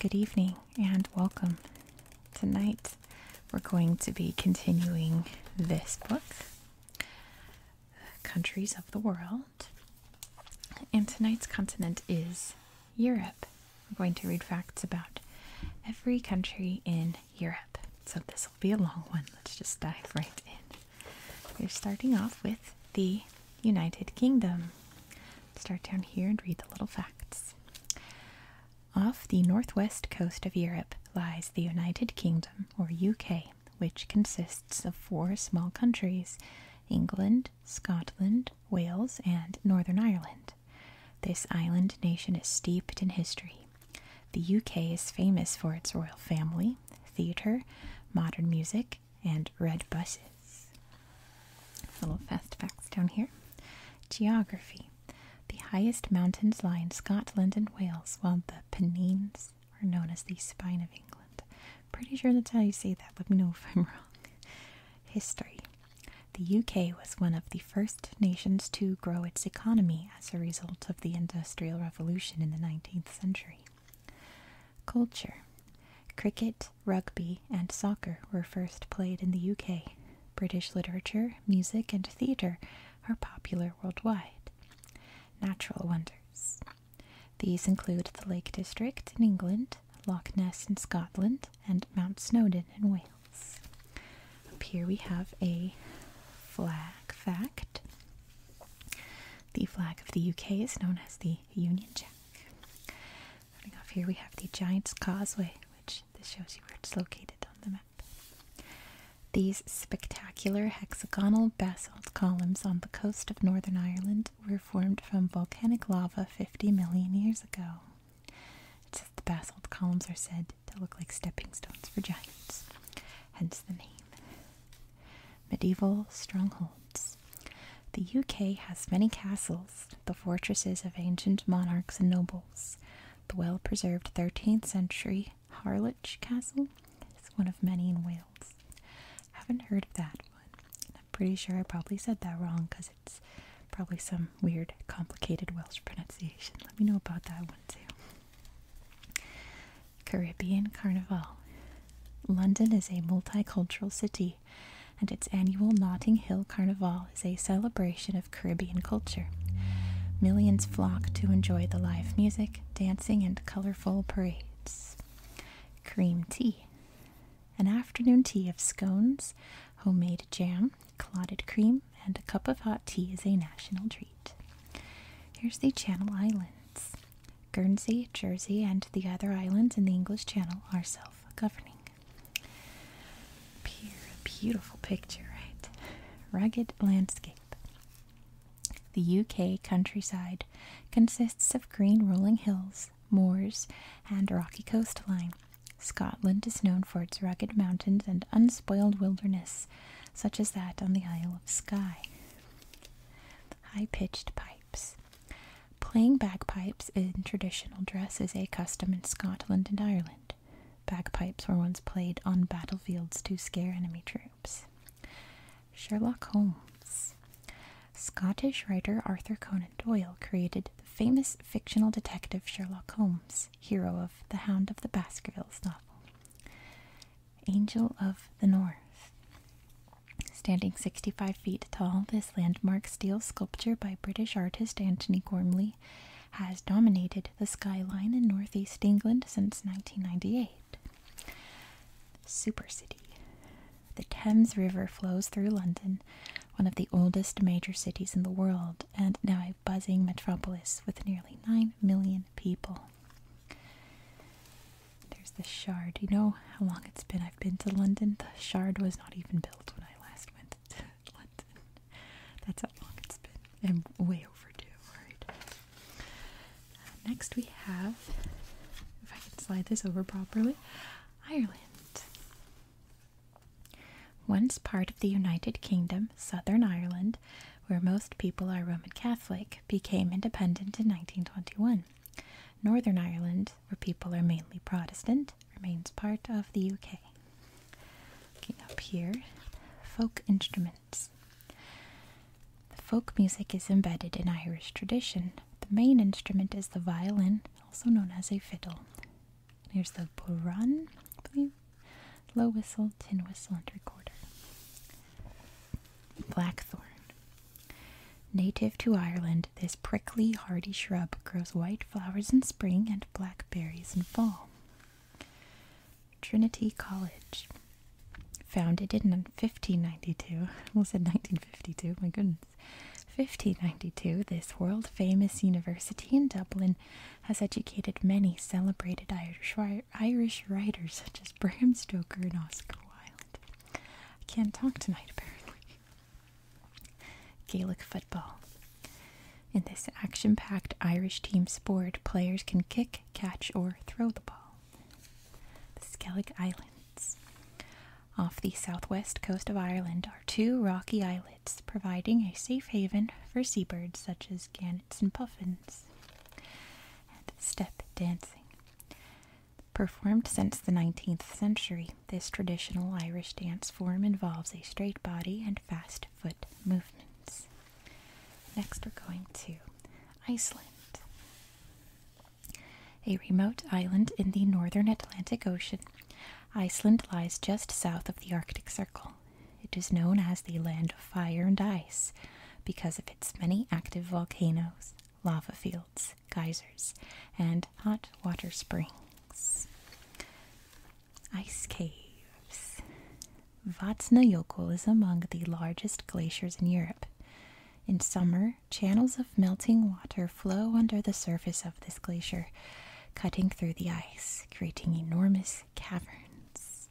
Good evening and welcome. Tonight we're going to be continuing this book, Countries of the World. And tonight's continent is Europe. We're going to read facts about every country in Europe. So this will be a long one. Let's just dive right in. We're starting off with the United Kingdom. Start down here and read the little facts. Off the northwest coast of Europe lies the United Kingdom, or UK, which consists of four small countries England, Scotland, Wales, and Northern Ireland. This island nation is steeped in history. The UK is famous for its royal family, theatre, modern music, and red buses. Little fast facts down here. Geography. The highest mountains lie in Scotland and Wales, while the Pennines are known as the spine of England. Pretty sure that's how you say that. Let me know if I'm wrong. History. The UK was one of the first nations to grow its economy as a result of the Industrial Revolution in the 19th century. Culture Cricket, rugby, and soccer were first played in the UK. British literature, music, and theatre are popular worldwide. Natural wonders. These include the Lake District in England, Loch Ness in Scotland, and Mount Snowdon in Wales. Up here we have a flag fact. The flag of the UK is known as the Union Jack. off here, we have the Giant's Causeway, which this shows you where it's located on the map. These spectacular hexagonal basalt columns on the coast of Northern Ireland were formed from volcanic lava 50 million years ago. the basalt columns are said that look like stepping stones for giants, hence the name. Medieval strongholds. The UK has many castles, the fortresses of ancient monarchs and nobles. The well preserved 13th century Harlech Castle is one of many in Wales. I haven't heard of that one. I'm pretty sure I probably said that wrong because it's probably some weird, complicated Welsh pronunciation. Let me know about that one one too. Caribbean Carnival. London is a multicultural city, and its annual Notting Hill Carnival is a celebration of Caribbean culture. Millions flock to enjoy the live music, dancing, and colorful parades. Cream tea. An afternoon tea of scones, homemade jam, Clotted cream and a cup of hot tea is a national treat. Here's the Channel Islands. Guernsey, Jersey, and the other islands in the English Channel are self governing. Beautiful picture, right? Rugged landscape. The UK countryside consists of green rolling hills, moors, and rocky coastline. Scotland is known for its rugged mountains and unspoiled wilderness, such as that on the Isle of Skye. High pitched pipes. Playing bagpipes in traditional dress is a custom in Scotland and Ireland. Bagpipes were once played on battlefields to scare enemy troops. Sherlock Holmes. Scottish writer Arthur Conan Doyle created the famous fictional detective Sherlock Holmes hero of The Hound of the Baskervilles novel. Angel of the North. Standing 65 feet tall, this landmark steel sculpture by British artist Anthony Gormley has dominated the skyline in northeast England since 1998. Super City. The Thames River flows through London, one of the oldest major cities in the world, and now a buzzing metropolis with nearly nine. Million people. There's the Shard. You know how long it's been I've been to London? The Shard was not even built when I last went to London. That's how long it's been. And way overdue, Right. Uh, next we have, if I can slide this over properly, Ireland. Once part of the United Kingdom, Southern Ireland where most people are Roman Catholic, became independent in 1921. Northern Ireland, where people are mainly Protestant, remains part of the UK. Looking up here, folk instruments. The Folk music is embedded in Irish tradition. The main instrument is the violin, also known as a fiddle. Here's the buran, low whistle, tin whistle, and recorder. Blackthorn. Native to Ireland, this prickly, hardy shrub grows white flowers in spring and blackberries in fall. Trinity College, founded in 1592, Well, said 1952, my goodness. 1592, this world famous university in Dublin has educated many celebrated Irish, writers such as Bram Stoker and Oscar Wilde. I can't talk tonight, apparently. Gaelic football. In this action packed Irish team sport, players can kick, catch, or throw the ball. The Skellig Islands. Off the southwest coast of Ireland are two rocky islets, providing a safe haven for seabirds such as Flappers, Gannets, and Puffins. And step dancing. Performed since the 19th century, this traditional Irish dance form involves a straight body and fast foot movements. Next, we're going to Iceland. A remote island in the northern Atlantic Ocean, Iceland lies just south of the Arctic Circle. It is known as the Land of Fire and Ice because of its many active volcanoes, lava fields, geysers, and hot water springs. Ice caves. Vatnajökull is among the largest glaciers in Europe. In summer, channels of melting water flow under the surface of this glacier, cutting through the ice, creating enormous caverns,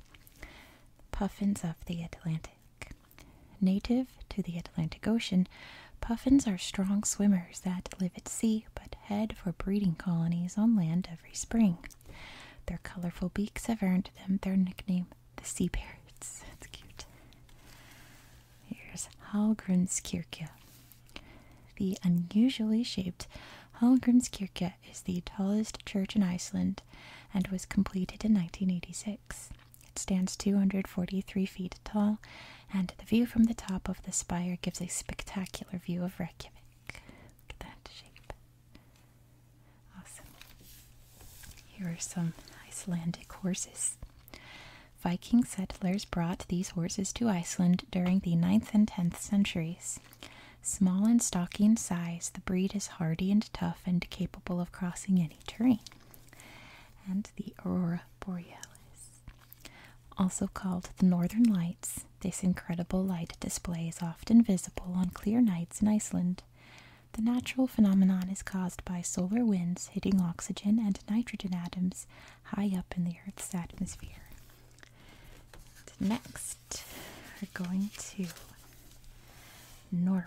puffins of the Atlantic. Native to the Atlantic Ocean, puffins are strong swimmers that live at sea but head for breeding colonies on land every spring. Their colorful beaks have earned them their nickname, the sea parrots. That's cute. Here's Hallgrimskirkja. The unusually shaped kirke is the tallest church in Iceland and was completed in 1986. It stands 243 feet tall, and the view from the top of the spire gives a spectacular view of Reykjavik. Look at that shape. Awesome. Here are some Icelandic horses. Viking settlers brought these horses to Iceland during the ninth and 10th centuries. Small and stocky in size, the breed is hardy and tough and capable of crossing any terrain. And the Aurora Borealis, also called the Northern Lights, this incredible light display is often visible on clear nights in Iceland. The natural phenomenon is caused by solar winds hitting oxygen and nitrogen atoms high up in the Earth's atmosphere. Next, are going to Norway.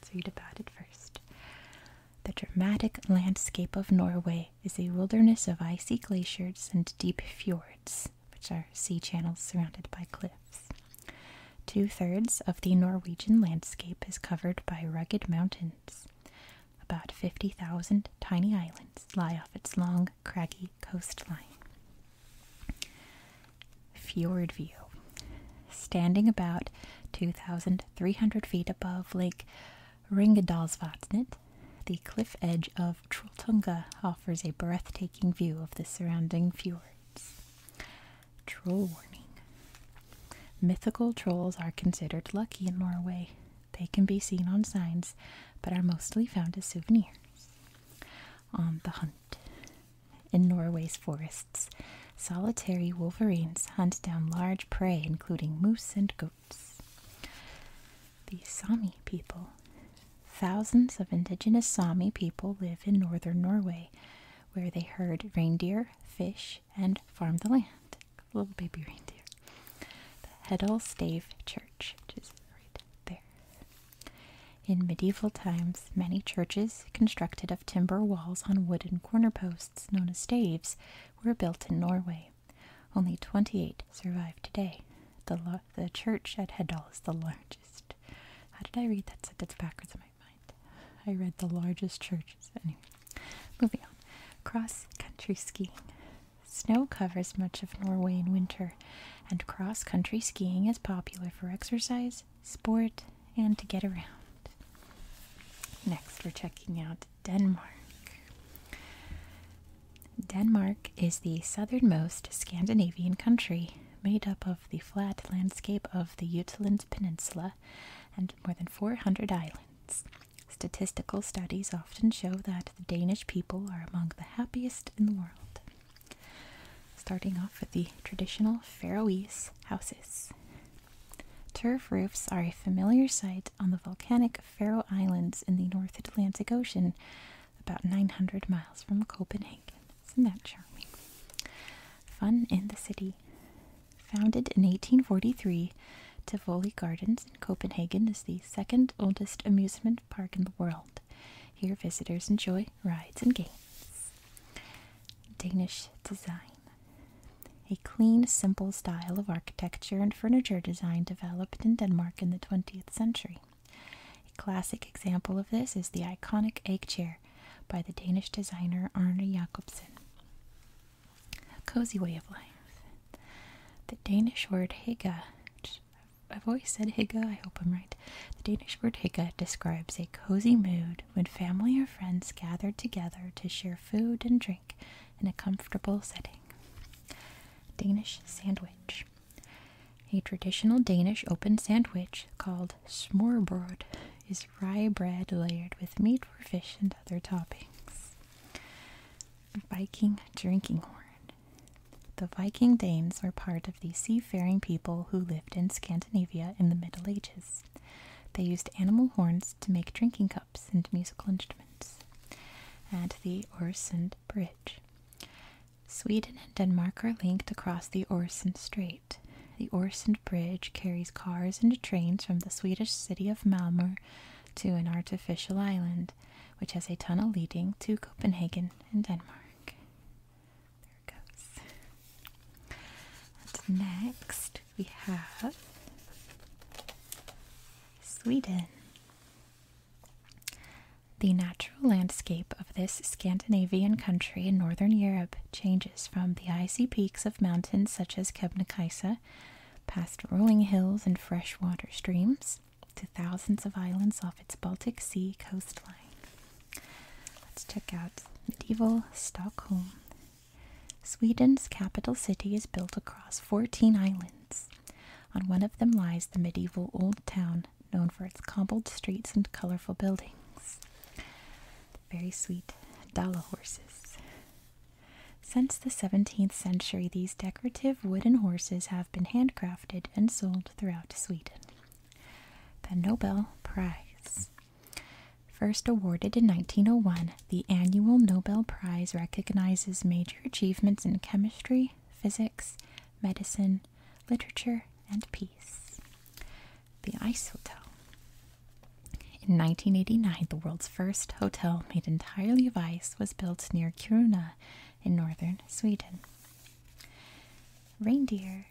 Let's read about it first. The dramatic landscape of Norway is a wilderness of icy glaciers and deep fjords, which are sea channels surrounded by cliffs. Two thirds of the Norwegian landscape is covered by rugged mountains. About 50,000 tiny islands lie off its long craggy coastline. Fjord View. Standing about 2,300 feet above Lake Ringedalsvatnet, the cliff edge of Trolltunga offers a breathtaking view of the surrounding fjords. Troll warning. Mythical trolls are considered lucky in Norway. They can be seen on signs, but are mostly found as souvenirs on the hunt. In Norway's forests, solitary wolverines hunt down large prey, including moose and goats. The Sami people. Thousands of indigenous Sami people live in northern Norway, where they herd reindeer, fish, and farm the land. Little baby reindeer. The Hedel Stave Church, which is right there. In medieval times, many churches, constructed of timber walls on wooden corner posts known as staves, were built in Norway. Only 28 survive today. The, the church at Heddal is the largest. How did I read that sentence backwards I read the largest churches. Anyway, moving on. Cross country skiing. Snow covers much of Norway in winter, and cross country skiing is popular for exercise, sport, and to get around. Next, we're checking out Denmark. Denmark is the southernmost Scandinavian country made up of the flat landscape of the Jutland Peninsula and more than 400 islands. Statistical studies often show that the Danish people are among the happiest in the world. Starting off with the traditional Faroese houses. Turf roofs are a familiar sight on the volcanic Faroe Islands in the North Atlantic Ocean, about 900 miles from Copenhagen. Isn't that charming? Fun in the City. Founded in 1843, Tivoli Gardens in Copenhagen is the second oldest amusement park in the world. Here, visitors enjoy rides and games. Danish design. A clean, simple style of architecture and furniture design developed in Denmark in the 20th century. A classic example of this is the iconic egg chair by the Danish designer Arne Jacobsen. A cozy way of life. The Danish word hygge, I've always said hygge, I hope I'm right. The Danish word hygge describes a cozy mood when family or friends gather together to share food and drink in a comfortable setting. Danish sandwich. A traditional Danish open sandwich called smørbrød is rye bread layered with meat or fish and other toppings. Viking drinking horn. The Viking Danes were part of the seafaring people who lived in Scandinavia in the Middle Ages. They used animal horns to make drinking cups and musical instruments. and the Oresund Bridge. Sweden and Denmark are linked across the Oresund Strait. The Oresund Bridge carries cars and trains from the Swedish city of Malmö to an artificial island, which has a tunnel leading to Copenhagen in Denmark. There it goes. next we have Sweden. The natural landscape of this Scandinavian country in northern Europe changes from the icy peaks of mountains such as Kebnekaise, past rolling hills and fresh water streams, to thousands of islands off its Baltic Sea coastline. Let's check out medieval Stockholm. Sweden's capital city is built across 14 islands. On one of them lies the medieval old town, known for its cobbled streets and colorful buildings. Very sweet Dala horses. Since the 17th century, these decorative wooden horses have been handcrafted and sold throughout throughout Sweden. The Nobel Prize. First awarded in 1901, the annual Nobel Prize recognizes major achievements in chemistry, physics, medicine, literature, and peace. The Ice Hotel. In 1989, the world's first hotel made entirely of ice was built near Kiruna in northern Sweden. Reindeer.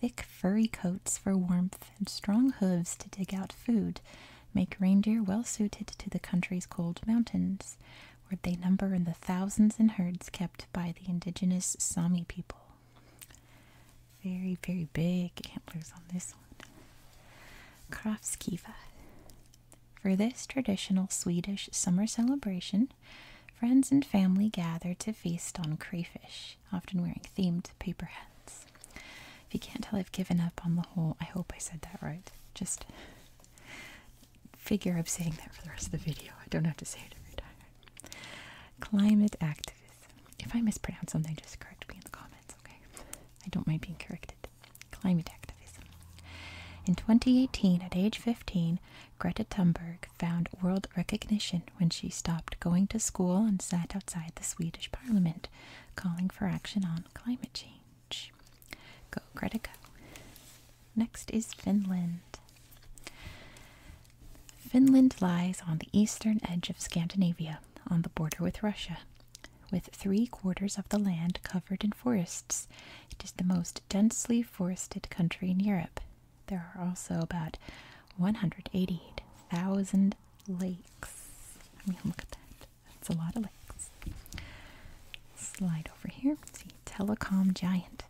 Thick furry coats for warmth and strong hooves to dig out food make reindeer well suited to the country's cold mountains, where they number in the thousands in herds kept by the indigenous Sami people. Very, very big antlers on this one. Krafskiva. For this traditional Swedish summer celebration, friends and family gather to feast on crayfish, often wearing themed paper hats. If you can't tell, I've given up on the whole, I hope I said that right. Just figure I'm saying that for the rest of the video. I don't have to say it every time. Climate activism. If I mispronounce something, just correct me in the comments, okay? I don't mind being corrected. Climate activism. In 2018, at age 15, Greta Thunberg found world recognition when she stopped going to school and sat outside the Swedish parliament calling for action on climate change. Go, Greta, go. Next is Finland. Finland lies on the eastern edge of Scandinavia, on the border with Russia, with three quarters of the land covered in forests it is the most densely forested country in Europe. There are also about 188,000 lakes. I mean, look at that. That's a lot of lakes. Slide over here. See, telecom giant.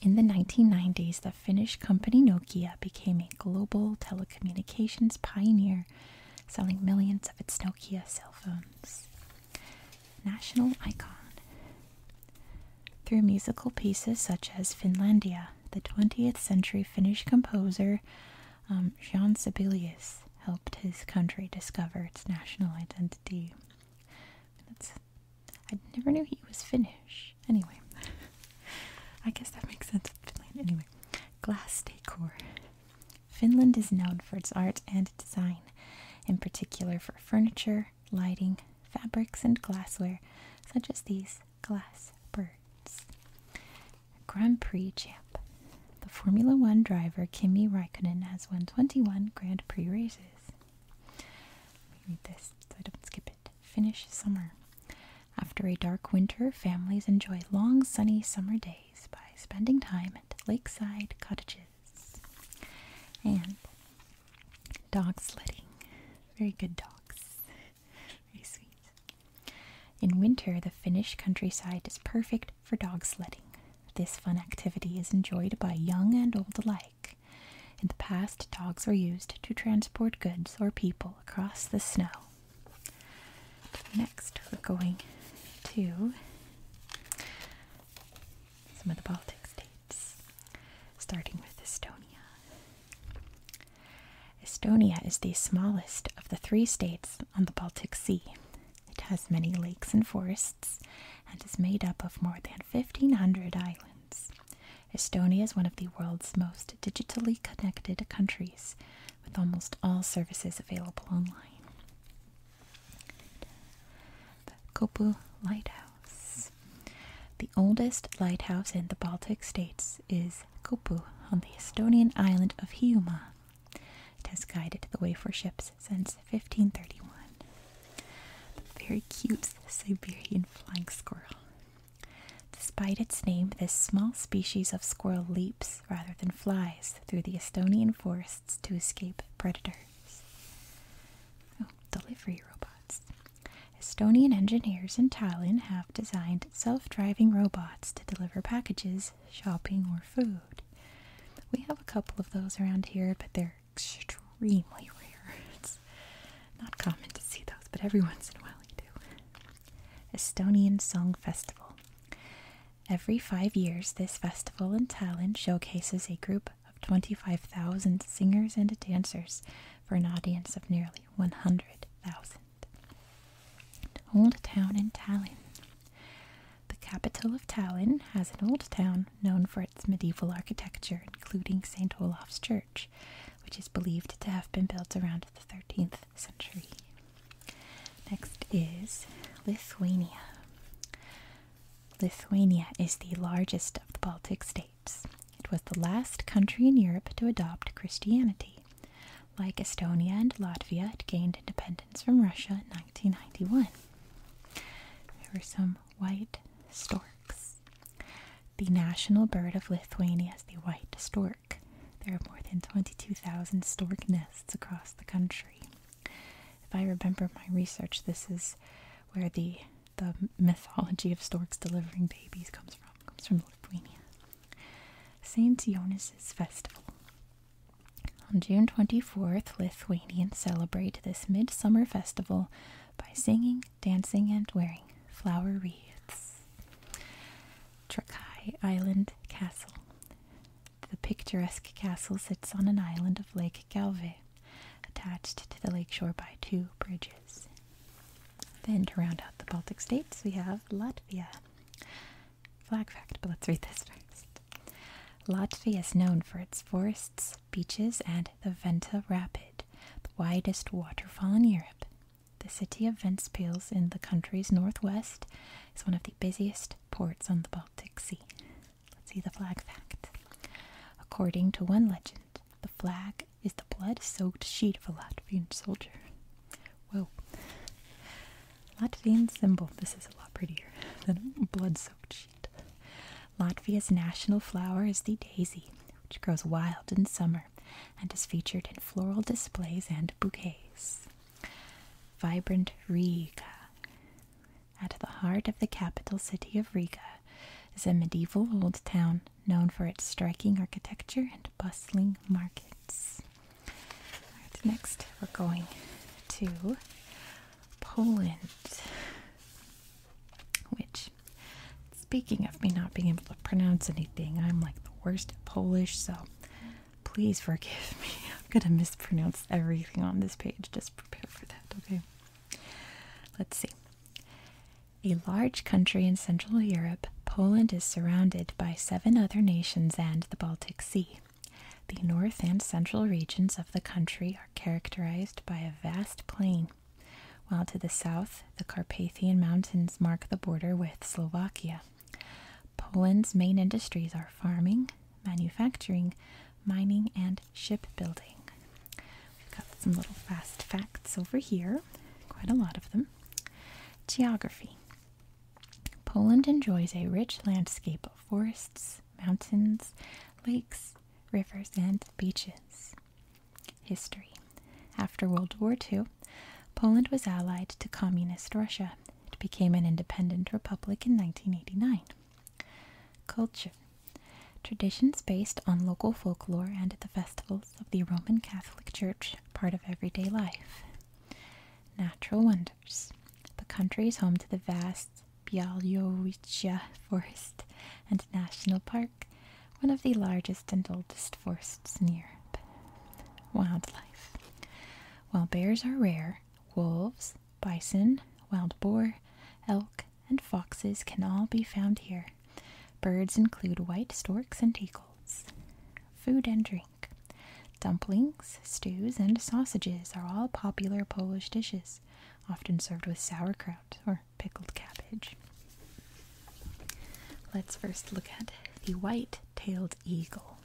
In the 1990s, the Finnish company Nokia became a global telecommunications pioneer, selling millions of its Nokia cell phones national icon. Through musical pieces such as Finlandia, the 20th century Finnish composer um, Jean Sibelius helped his country discover its national identity. That's, I never knew he was Finnish. Anyway, I guess that makes sense. Finland. Anyway, glass decor. Finland is known for its art and design, in particular for furniture lighting, fabrics, and glassware, such as these glass birds. Grand Prix champ. The Formula One driver Kimi Raikkonen has won 21 Grand Prix races. read this so I don't skip it. Finnish summer. After a dark winter, families enjoy long sunny summer days by spending time at lakeside cottages and dog sledding. Very good dogs. Very sweet. In winter, the Finnish countryside is perfect for dog sledding. This fun activity is enjoyed by young and old alike. In the past, dogs were used to transport goods or people across the snow. Next, we're going to some of the Baltic states, starting with Estonia. Estonia is the smallest of the three states on the Baltic Sea. It has many lakes and forests and is made up of more than 1,500 islands. Estonia is one of the world's most digitally connected countries, with almost all services available online. Kopu Lighthouse. The oldest lighthouse in the Baltic states is Kopu on the Estonian island of Hiiumaa. It has guided the way for ships since 1531. The very cute Siberian flying squirrel. Despite its name, this small species of squirrel leaps rather than flies through the Estonian forests to escape predators. Oh, delivery robots. Estonian engineers in Tallinn have designed self-driving robots to deliver packages, shopping, or food. We have a couple of those around here, but they're extremely rare. not common to see those, but every once in a while you do. Estonian Song Festival. Every five years, this festival in Tallinn showcases a group of 25,000 singers and dancers for an audience of nearly 100,000. Old Town in Tallinn. The capital of Tallinn has an old town known for its medieval architecture, including St. Olaf's Church, which is believed to have been built around the 13th century. Next is Lithuania. Lithuania is the largest of the Baltic states. It was the last country in Europe to adopt Christianity. Like Estonia and Latvia, it gained independence from Russia in 1991. There were some white storks. The national bird of Lithuania is the white stork. There are more than 22,000 stork nests across the country. If I remember my research, this is where the the mythology of storks delivering babies comes from. Comes from Lithuania. Saint Jonas' festival. On June 24th, Lithuanians celebrate this midsummer festival by singing, dancing, and wearing flower wreaths. Trakai Island Castle. The picturesque castle sits on an island of Lake Galve attached to the lakeshore by two bridges. Then, to round out the Baltic states, we have Latvia. Flag fact, but let's read this first. Latvia is known for its forests, beaches, and the Venta Rapid, the widest waterfall in Europe. The city of Ventspils in the country's northwest is one of the busiest ports on the Baltic Sea. Let's see the flag fact. According to one legend, the flag is the blood soaked sheet of a Latvian soldier. Whoa. Latvian symbol. This is a lot prettier than blood soaked sheet. Latvia's national flower is the daisy, which grows wild in summer and is featured in floral displays and bouquets. Vibrant Riga. At the heart of the capital city of Riga is a medieval old town known for its striking architecture and bustling markets. next, we're going to Poland, which, speaking of me not being able to pronounce anything, I'm like the worst at Polish, so please forgive me. I'm gonna mispronounce everything on this page. Just prepare for that, okay? Let's see. A large country in Central Europe, Poland is surrounded by seven other nations and the Baltic Sea. The north and central regions of the country are characterized by a vast plain, while to the south, the Carpathian Mountains mark the border with Slovakia. Poland's main industries are farming, manufacturing, mining, and shipbuilding. We've got some little fast facts over here, quite a lot of them. Geography Poland enjoys a rich landscape of forests, mountains, lakes, rivers, and beaches. History After World War II, Poland was allied to Communist Russia. It became an independent republic in 1989. Culture Traditions based on local folklore and the festivals of the Roman Catholic Church, part of everyday life. Natural wonders. The country is home to the vast Bialowicza Forest and National Park, one of the largest and oldest forests in Europe. Wildlife. While bears are rare, wolves, bison, wild boar, elk, and foxes can all be found here. Birds include white storks and eagles. Food and drink. Dumplings, stews, and sausages are all popular Polish dishes, often served with sauerkraut or pickled cabbage. Let's first look at the white tailed eagle.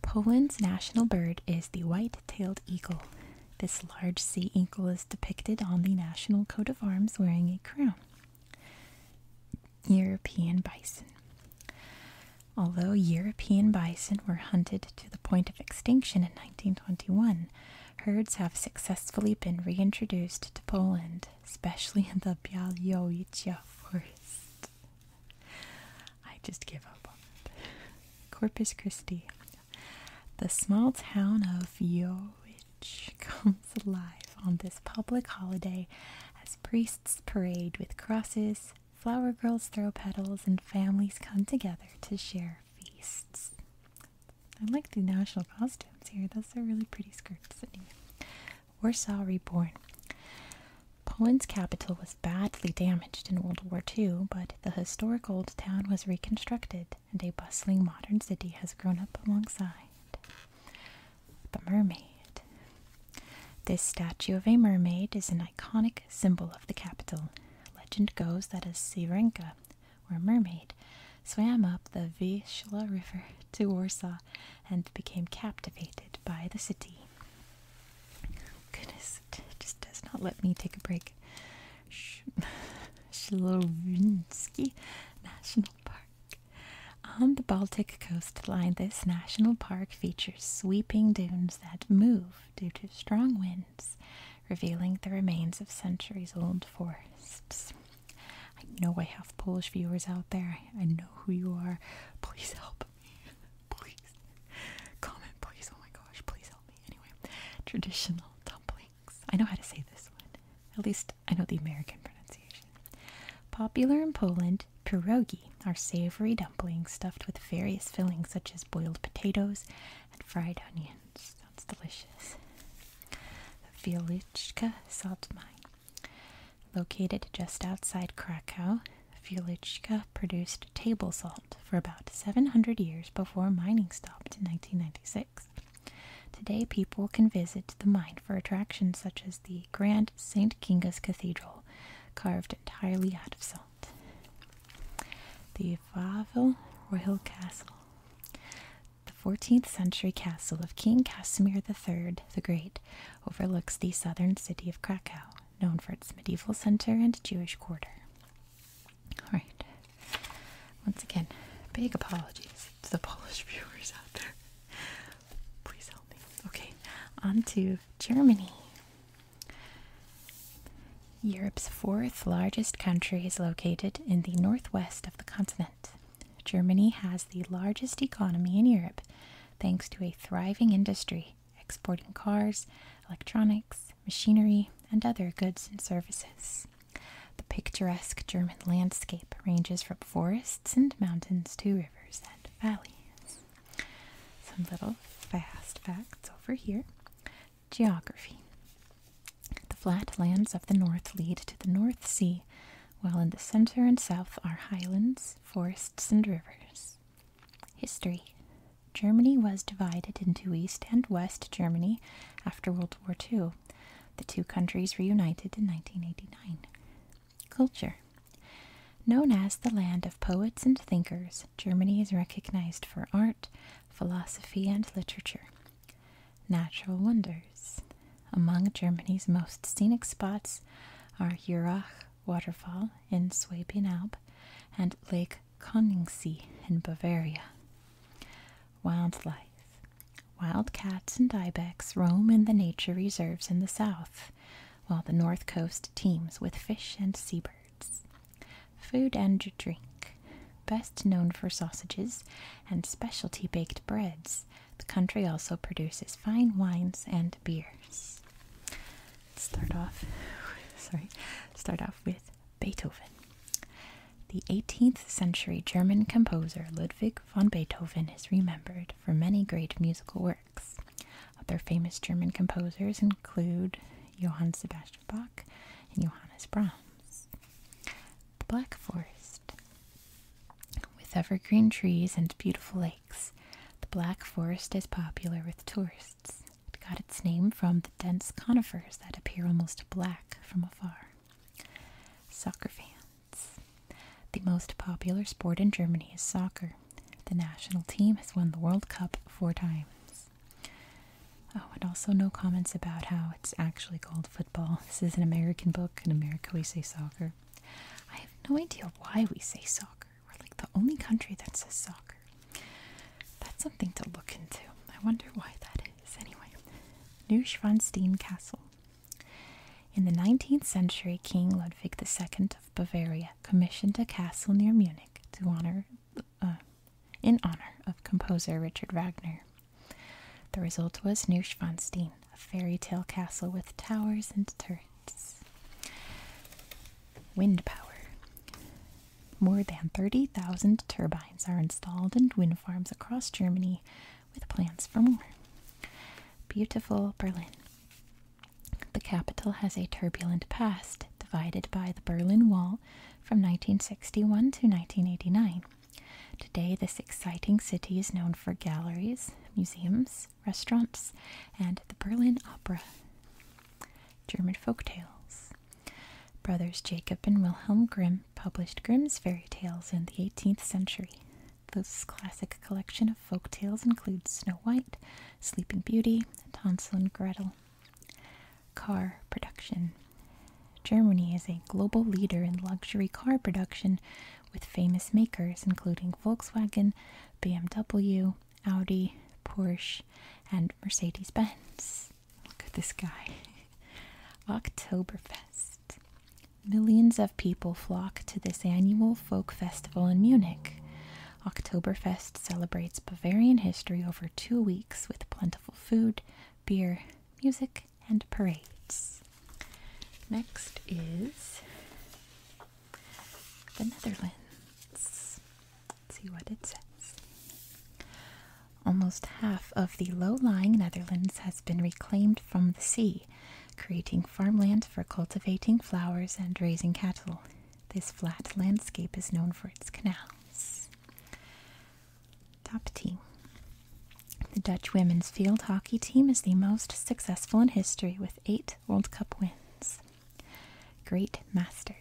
Poland's national bird is the white tailed eagle. This large sea eagle is depicted on the national coat of arms wearing a crown. European bison. Although European bison were hunted to the point of extinction in 1921, herds have successfully been reintroduced to Poland, especially in the Białowieża forest. I just give up Corpus Christi. The small town of Yowich comes alive on this public holiday as priests parade with crosses, flower girls throw petals, and families come together to share feasts. I like the national costumes here. Those are really pretty skirts. Warsaw Reborn. Poland's capital was badly damaged in World War II, but the historic old town was reconstructed and a bustling modern city has grown up alongside. The mermaid. This statue of a mermaid is an iconic symbol of the capital. Legend goes that a sirenka, or mermaid, swam up the Vishla River to Warsaw and became captivated by the city. Goodness, it just does not let me take a break. Shlovinsky National Park. On the Baltic coastline, this national park features sweeping dunes that move due to strong winds, revealing the remains of centuries old forests. I know I have Polish viewers out there. I, know who you are. Please help me. Please. Comment, please. Oh my gosh, please help. Anyway, traditional dumplings. I know how to say this one. At least I know the American pronunciation. Popular in Poland, pierogi are savory dumplings stuffed with various fillings such as boiled potatoes and fried onions. That's delicious. The Wieliczka salt mine. Located just outside Krakow, Wieliczka produced table salt for about 700 years before mining stopped in 1996. Today, people can visit the mine for attractions such as the Grand St. Kinga's Cathedral, carved entirely out of salt. The Favel Royal Castle. The 14th century castle of King Casimir III the Great overlooks the southern city of Krakow, known for its medieval center and Jewish quarter. Alright. Once again, big apologies to the Polish viewers out there. Please help me. Okay, on to Germany. Europe's fourth largest country is located in the northwest of the continent. Germany has the largest economy in Europe thanks to a thriving industry exporting cars, electronics, machinery, and other goods and services. The picturesque German landscape ranges from forests and mountains to rivers and valleys. Some little fast facts over here. Geography. The flat lands of the north lead to the North Sea, while in the center and south are highlands, forests, and rivers. History. Germany was divided into East and West Germany after World War II. The two countries reunited in 1989. Culture. Known as the land of poets and thinkers, Germany is recognized for art, philosophy, and literature. Natural wonders. Among Germany's most scenic spots are Jurach Waterfall in Swabian Alb and Lake Lake Conningsee in Bavaria. Wildlife. Wild cats and ibex roam in the nature reserves in the south, while the north coast teems with fish and seabirds. Food and drink. Best known for sausages and specialty baked breads, the country also produces fine wines and beers. Start off, sorry, start off with Beethoven. The 18th century German composer Ludwig van Beethoven is remembered for many great musical works. Other famous German composers include Johann Sebastian Bach and Johannes Brahms. The Black Forest. With evergreen trees and beautiful lakes, the Black Forest is popular with tourists. It got its name from the dense conifers that appear almost black from afar. Soccer fans. The most popular sport in Germany is soccer. The national team has won the World Cup four times. Oh, and also no comments about how it's actually called football. This is an American book. In America, we say soccer. I have no idea why we say soccer. We're like the only country that says soccer. That's something to look into. I wonder why that is. Anyway, Neuschwanstein Castle. In the 19th century, King Ludwig II of Bavaria commissioned a castle near Munich to honor, uh, in honor of composer Richard Wagner. The result was Neuschwanstein, a fairy tale castle with towers and turrets. Wind power. More than 30,000 turbines are installed in wind farms across Germany with plans for more. Beautiful Berlin. The capital has a turbulent past, divided by the Berlin Wall from 1961 to 1989. Today, this exciting city is known for galleries, museums, restaurants, and the Berlin Opera. German folk tales. Brothers Jacob and Wilhelm Grimm published Grimm's fairy tales in the 18th century. This classic collection of folk tales includes Snow White, Sleeping Beauty, and Hansel and Gretel. Car production. Germany is a global leader in luxury car production with famous makers including Volkswagen, BMW, Audi, Porsche, and Mercedes Benz. Look at this guy. Oktoberfest. Millions of people flock to this annual folk festival in Munich. Oktoberfest celebrates Bavarian history over two weeks with plentiful food, beer, music, and parades. Next is the Netherlands see what it says. Almost half of the low lying Netherlands has been reclaimed from the sea, creating farmland for cultivating flowers and raising cattle. This flat landscape is known for its canals. Top team. The Dutch women's field hockey team is the most successful in history with eight World Cup wins. Great Masters.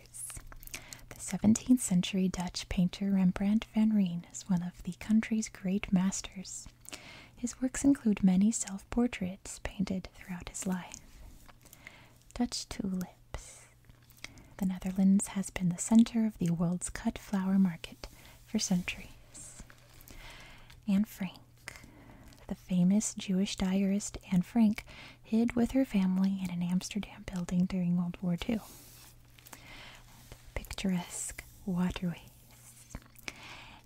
The 17th century Dutch painter Rembrandt van Rijn is one of the country's great masters. His works include many self portraits painted throughout his life. Dutch tulips. The Netherlands has been the center of the world's cut flower market for centuries. Anne Frank. The famous Jewish diarist Anne Frank hid with her family in an Amsterdam building during World War II. Picturesque waterways.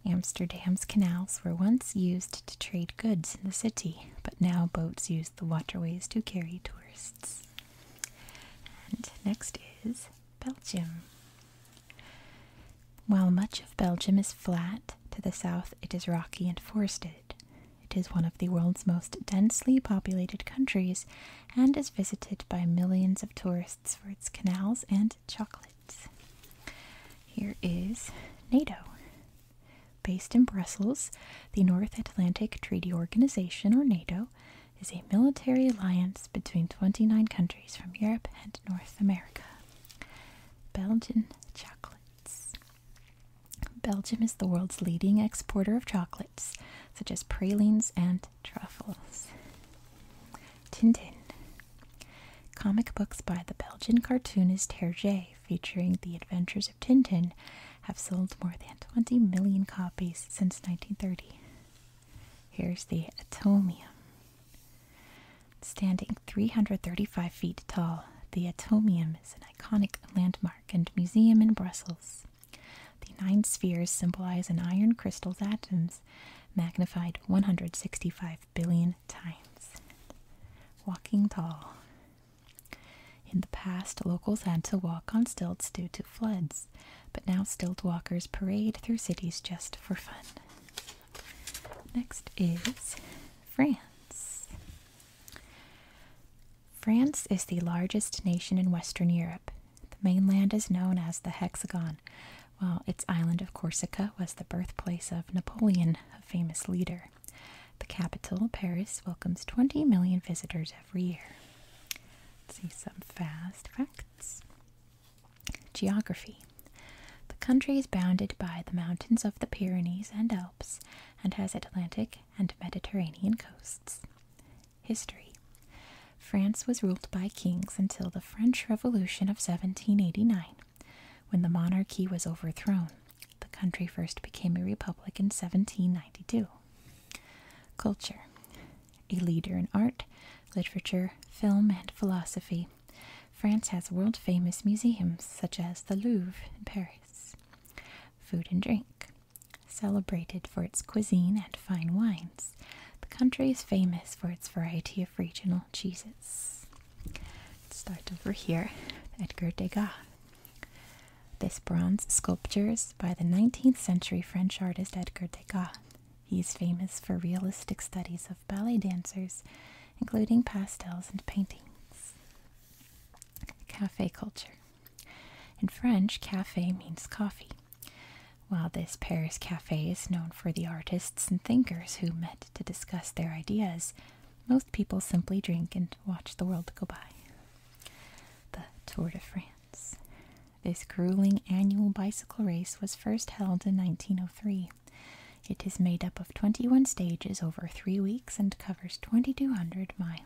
Amsterdam's canals were once used to trade goods in the city, but now boats use the waterways to carry tourists. And next is Belgium. While much of Belgium is flat, to the south it is rocky and forested. It is one of the world's most densely populated countries and is visited by millions of tourists for its canals and chocolates. Here is NATO. Based in Brussels, the North Atlantic Treaty Organization, or NATO, is a military alliance between 29 countries from Europe and North America. Belgian chocolates. Belgium is the world's leading exporter of chocolates, such as pralines and truffles. Tintin. Comic books by the Belgian cartoonist Hergé, featuring the adventures of Tintin, have sold more than 20 million copies since 1930. Here's the Atomium. Standing 335 feet tall, the Atomium is an iconic landmark and museum in Brussels. The nine spheres symbolize an iron crystal's atoms magnified 165 billion times. Walking tall. In the past, locals had to walk on stilts due to floods, but now stilt walkers parade through cities just for fun. Next is France. France is the largest nation in Western Europe. The mainland is known as the Hexagon, while its island of Corsica was the birthplace of Napoleon, a famous leader. The capital, Paris, welcomes 20 million visitors every year. see some fast facts. Geography. The country is bounded by the mountains of the Pyrenees and Alps and has Atlantic and Mediterranean coasts. History France was ruled by kings until the French Revolution of 1789, when the monarchy was overthrown. The country first became a republic in 1792. Culture A leader in art, literature, film, and philosophy, France has world famous museums such as the Louvre in Paris. Food and drink Celebrated for its cuisine and fine wines, the country is famous for its variety of regional cheeses. Let's start over here Edgar Degas. This bronze sculpture is by the 19th century French artist Edgar Degas. He is famous for realistic studies of ballet dancers, including pastels and paintings. Cafe culture. In French, cafe means coffee, while this Paris cafe is known for the artists and thinkers who met to discuss their ideas. Most people simply drink and watch the world go by. The Tour de France. This grueling annual bicycle race was first held in 1903. It is made up of 21 stages over three weeks and covers 2,200 miles.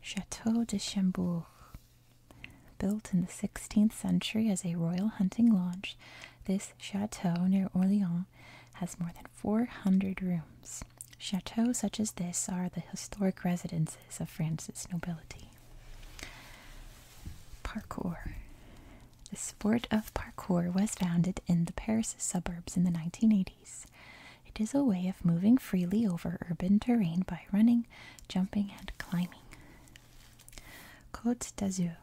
Chateau de Chambord. Built in the 16th century as a royal hunting lodge, this chateau near Orleans has more than 400 rooms. Chateaux such as this are the historic residences of France's nobility. Parkour. The sport of parkour was founded in the Paris suburbs in the 1980s. It is a way of moving freely over urban terrain by running, jumping, and climbing. Côte d'Azur.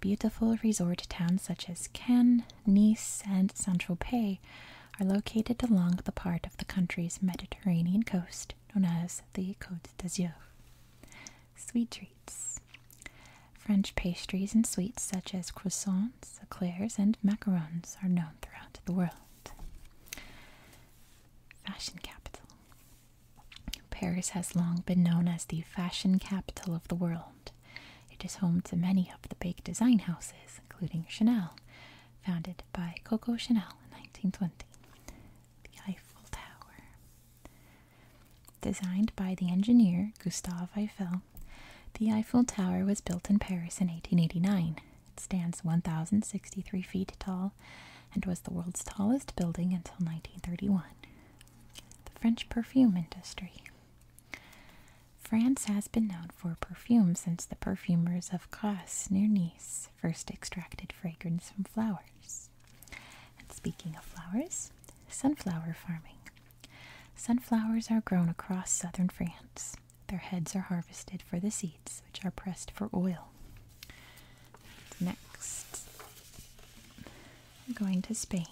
beautiful resort towns such as Cannes, Nice, and Saint-Tropez are located along the part of the country's Mediterranean coast known as the Côte d'Azur. Sweet treats. French pastries and sweets such as croissants, eclairs, and macarons are known throughout the world. Fashion capital. Paris has long been known as the fashion capital of the world. It is home to many of the big design houses, including Chanel, founded by Coco Chanel in 1920. The Eiffel Tower. Designed by the engineer Gustave Eiffel, the Eiffel Tower was built in Paris in 1889 it stands 1,063 feet tall and was the world's tallest building until 1931. The French perfume industry. France has been known for perfume since the perfumers of Grasse near Nice first extracted fragrance from flowers. And speaking of flowers, sunflower farming. Sunflowers are grown across southern France. Their heads are harvested for the seeds, which are pressed for oil. Next, we're going to Spain.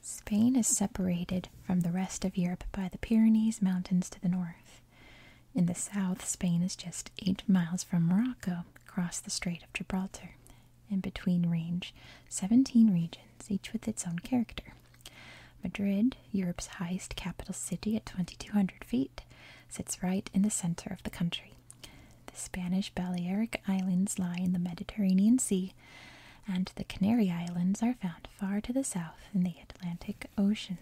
Spain is separated from the rest of Europe by the Pyrenees Mountains to the north. In the south, Spain is just eight miles from Morocco across the Strait of Gibraltar, In between range 17 regions, each with its own character. Madrid, Europe's highest capital city at 2,200 feet, sits right in the center of the country. The Spanish Balearic Islands lie in the Mediterranean Sea, and the Canary Islands are found far to the south in the Atlantic Ocean.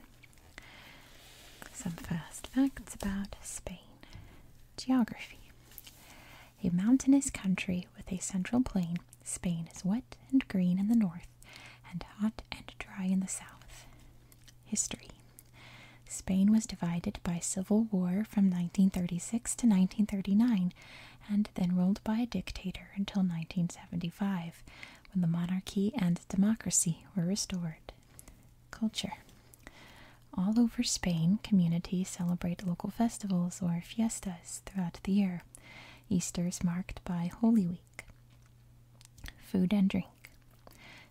Some fast facts about Spain. Geography a mountainous country with a central plain. Spain is wet and green in the north and hot and dry in the south. History Spain was divided by civil war from 1936 to 1939 and then ruled by a dictator until 1975 when the monarchy and democracy were restored. Culture all over Spain, communities celebrate local festivals or fiestas throughout the year. Easter is marked by Holy Week. Food and drink.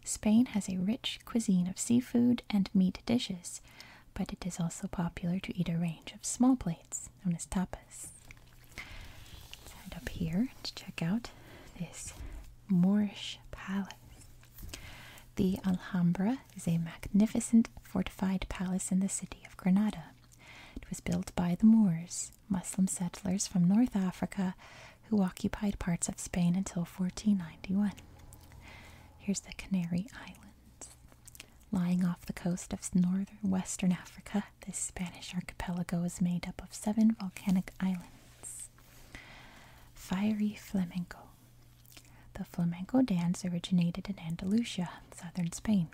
Spain has a rich cuisine of seafood and meat dishes, but it is also popular to eat a range of small plates known as tapas. head up here to check out this Moorish palace. The Alhambra is a magnificent fortified palace in the city of Granada. It was built by the Moors, Muslim settlers from North Africa who occupied parts of Spain until 1491. Here's the Canary Islands. Lying off the coast of northern Western Africa, this Spanish archipelago is made up of seven volcanic islands. Fiery Flamenco. The flamenco dance originated in Andalusia, southern Spain.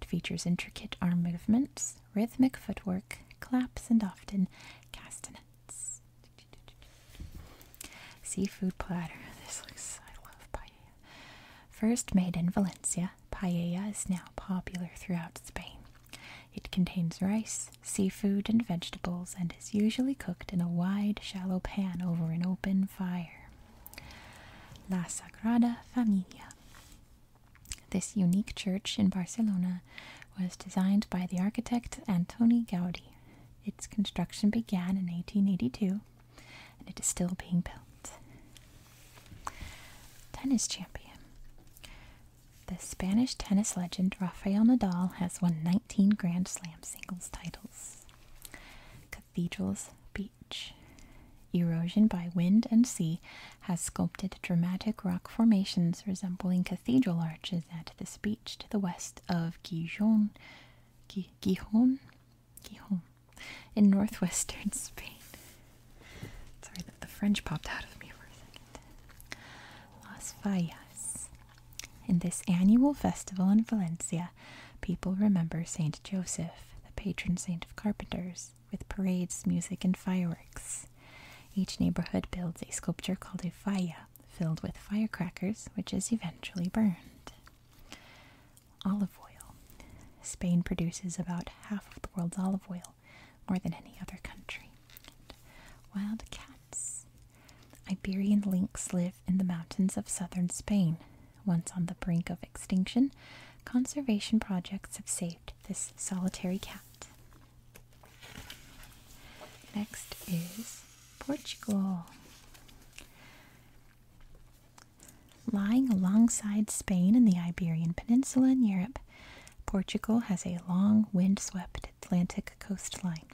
It features intricate arm movements, rhythmic footwork, claps, and often castanets. Seafood platter. This looks, I love paella. First made in Valencia, paella is now popular throughout Spain. It contains rice, seafood, and vegetables and is usually cooked in a wide, shallow pan over an open fire. La Sagrada Familia. This unique church in Barcelona was designed by the architect Antoni Gaudi. Its construction began in 1882 and it is still being built. Tennis champion. The Spanish tennis legend Rafael Nadal has won 19 Grand Slam singles titles. Cathedrals, Erosion by wind and sea has sculpted dramatic rock formations resembling cathedral arches at the beach to the west of Gijon, Gijon, Gijon, in northwestern Spain. Sorry that the French popped out of me for a second. Las Fallas. In this annual festival in Valencia, people remember Saint Joseph, the patron saint of carpenters, with parades, music, and fireworks. Each neighborhood builds a sculpture called a faya, filled with firecrackers, which is eventually burned. Olive oil. Spain produces about half of the world's olive oil, more than any other country. Wild cats. Iberian lynx live in the mountains of southern Spain. Once on the brink of extinction, conservation projects have saved this solitary cat. Next is Portugal. Lying alongside Spain in the Iberian Peninsula in Europe, Portugal has a long wind-swept Atlantic coastline.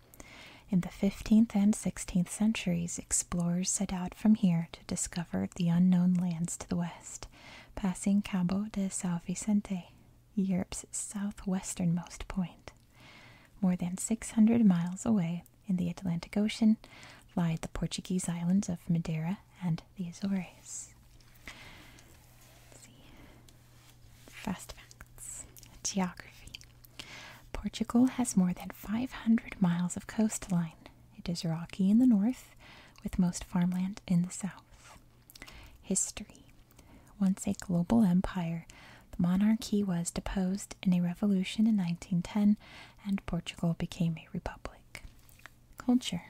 In the 15th and 16th centuries, explorers set out from here discovered the unknown lands to the west, passing Cabo de São Vicente, Europe's southwesternmost point. More than 600 miles away in the Atlantic Ocean lie the Portuguese islands of Madeira and the Azores. Fast facts. Geography. Portugal has more than 500 miles of coastline, it is rocky in the north, with most farmland in the south. History Once a global empire, the monarchy was deposed in a revolution in 1910 and Portugal became a republic. Culture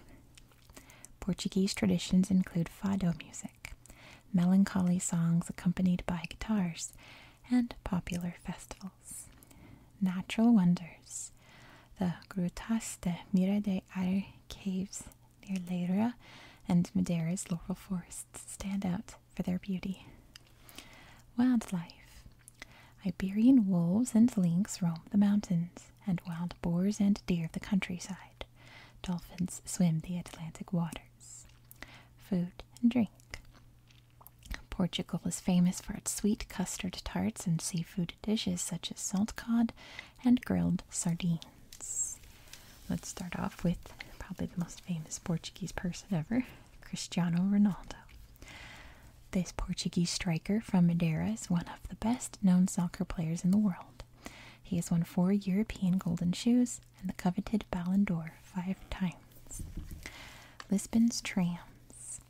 Portuguese traditions include fado music, melancholy songs accompanied by guitars, and popular festivals. Natural wonders. The Grutas de Mira Ar caves near Leiria, and Madeira's laurel forests stand out for their beauty. Wildlife. Iberian wolves and lynx roam the mountains, and wild boars and deer the countryside. Dolphins swim the Atlantic waters. Food and drink. Portugal is famous for its sweet custard tarts and seafood dishes such as salt cod and grilled sardines. Let's start off with probably the most famous Portuguese person ever, Cristiano Ronaldo. This Portuguese striker from Madeira is one of the best known soccer players in the world. He has won four European Golden Shoes and the coveted Ballon d'Or five times. Lisbon's trams.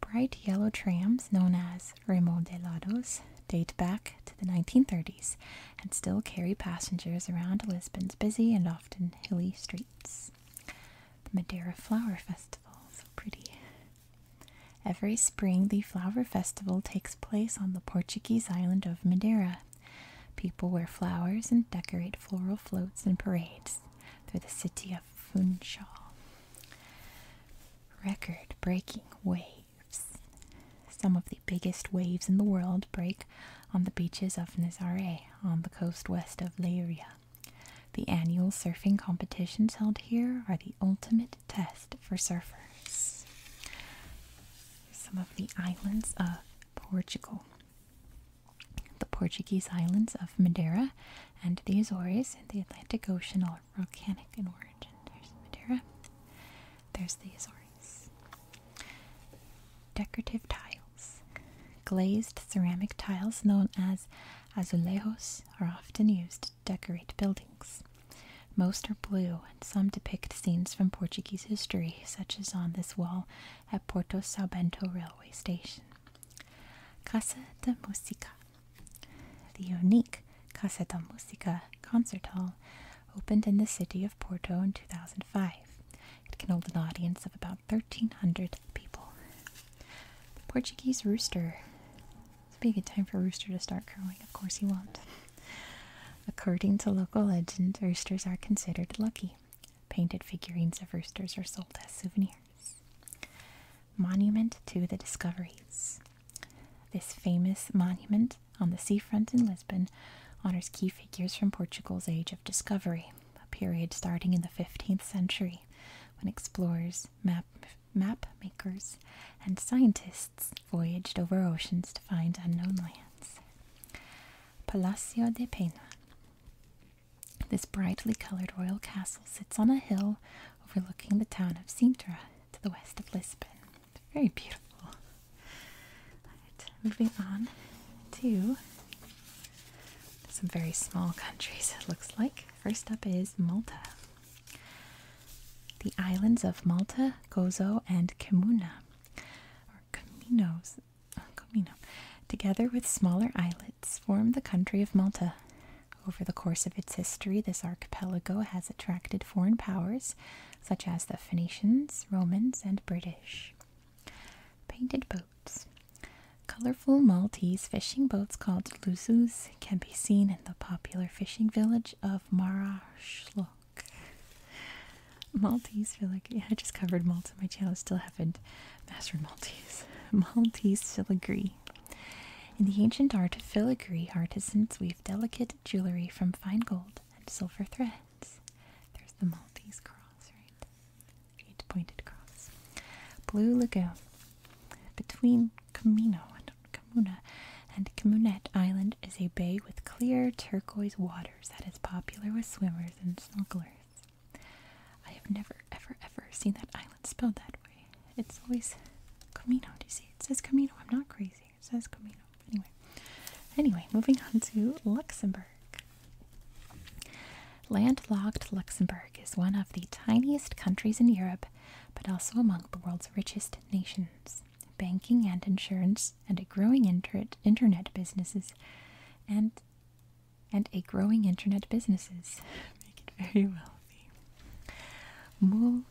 Bright yellow trams, known as remodelados, date back to the 1930s and still carry passengers around Lisbon's busy and often hilly streets. The Madeira Flower Festival, so pretty. Every spring, the flower festival takes place on the Portuguese island of Madeira. People wear flowers and decorate floral floats and parades through the city of. Funchal. Record breaking waves. Some of the biggest waves in the world break on the beaches of Nazare on the coast west of Leiria. The annual surfing competitions held here are the ultimate test for surfers. Some of the islands of Portugal. The Portuguese islands of Madeira and the Azores in the Atlantic Ocean are volcanic in origin. There's Madeira. There's the Azores. Decorative tiles. Glazed ceramic tiles known as azulejos are often used to decorate buildings. Most are blue, and some depict scenes from Portuguese history, such as on this wall at Porto Salbento railway station. Casa de Musica the unique Casa da Música concert hall opened in the city of Porto in 2005. It can hold an audience of about 1,300 people. The Portuguese rooster. This would be a good time for rooster to start crowing. Of course, he won't. According to local legend, roosters are considered lucky. Painted figurines of roosters are sold as souvenirs. Monument to the Discoveries. This famous monument on the seafront in Lisbon honors key figures from Portugal's Age of Discovery, a period starting in the 15th century when explorers, map, map makers, and scientists voyaged over oceans to find unknown lands. Palacio de Pena. This brightly coloured royal castle sits on a hill overlooking the town of Sintra to the west of Lisbon. Very beautiful. moving on to some very small countries, it looks like. First up is Malta. The islands of Malta, Gozo, and Comuna, or Cominos, Comino, together with smaller islands islets form the country of Malta. Over the course of its history, this archipelago has attracted foreign powers such as the Phoenicians, Romans, and British. Painted boats. Colorful Maltese fishing boats called lusus can be seen in the popular fishing village of Marashlok. Maltese filigree. I just covered Malta. My channel still haven't mastered Maltese. Maltese filigree. In the ancient art of filigree, artisans weave delicate jewelry from fine gold and silver threads. There's the Maltese cross, right? Eight pointed cross. Blue Lagoon. Between Camino and Camuna and Camunet Island is a bay with clear turquoise waters that is popular with swimmers and snorkelers. I have never, ever, ever seen that island spelled that way. It's always Camino. Do you see? It says Camino. I'm not crazy. It says Camino. Anyway, anyway, moving on to Luxembourg. Landlocked Luxembourg is one of the tiniest countries in Europe, but also among the world's richest nations. Banking and insurance and a growing internet businesses and and a growing internet businesses make it very wealthy. Moule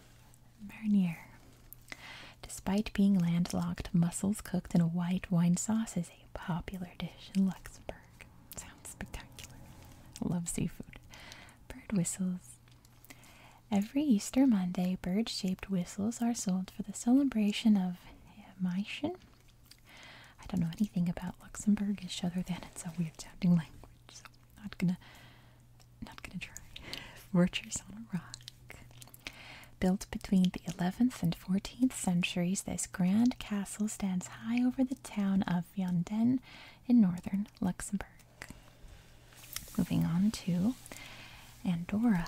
Despite being landlocked, mussels cooked in a white wine sauce is a popular dish in Luxembourg. Sounds spectacular. Love seafood. Bird whistles. Every Easter Monday, bird shaped whistles are sold for the celebration of Maischen. I don't know anything about Luxembourgish other than it's a weird sounding language upwards. So not gonna not gonna try. Fortress on a rock. Built between the 11th and 14th centuries, this grand castle stands high over the town of Vianden in northern Luxembourg. Moving on to Andorra.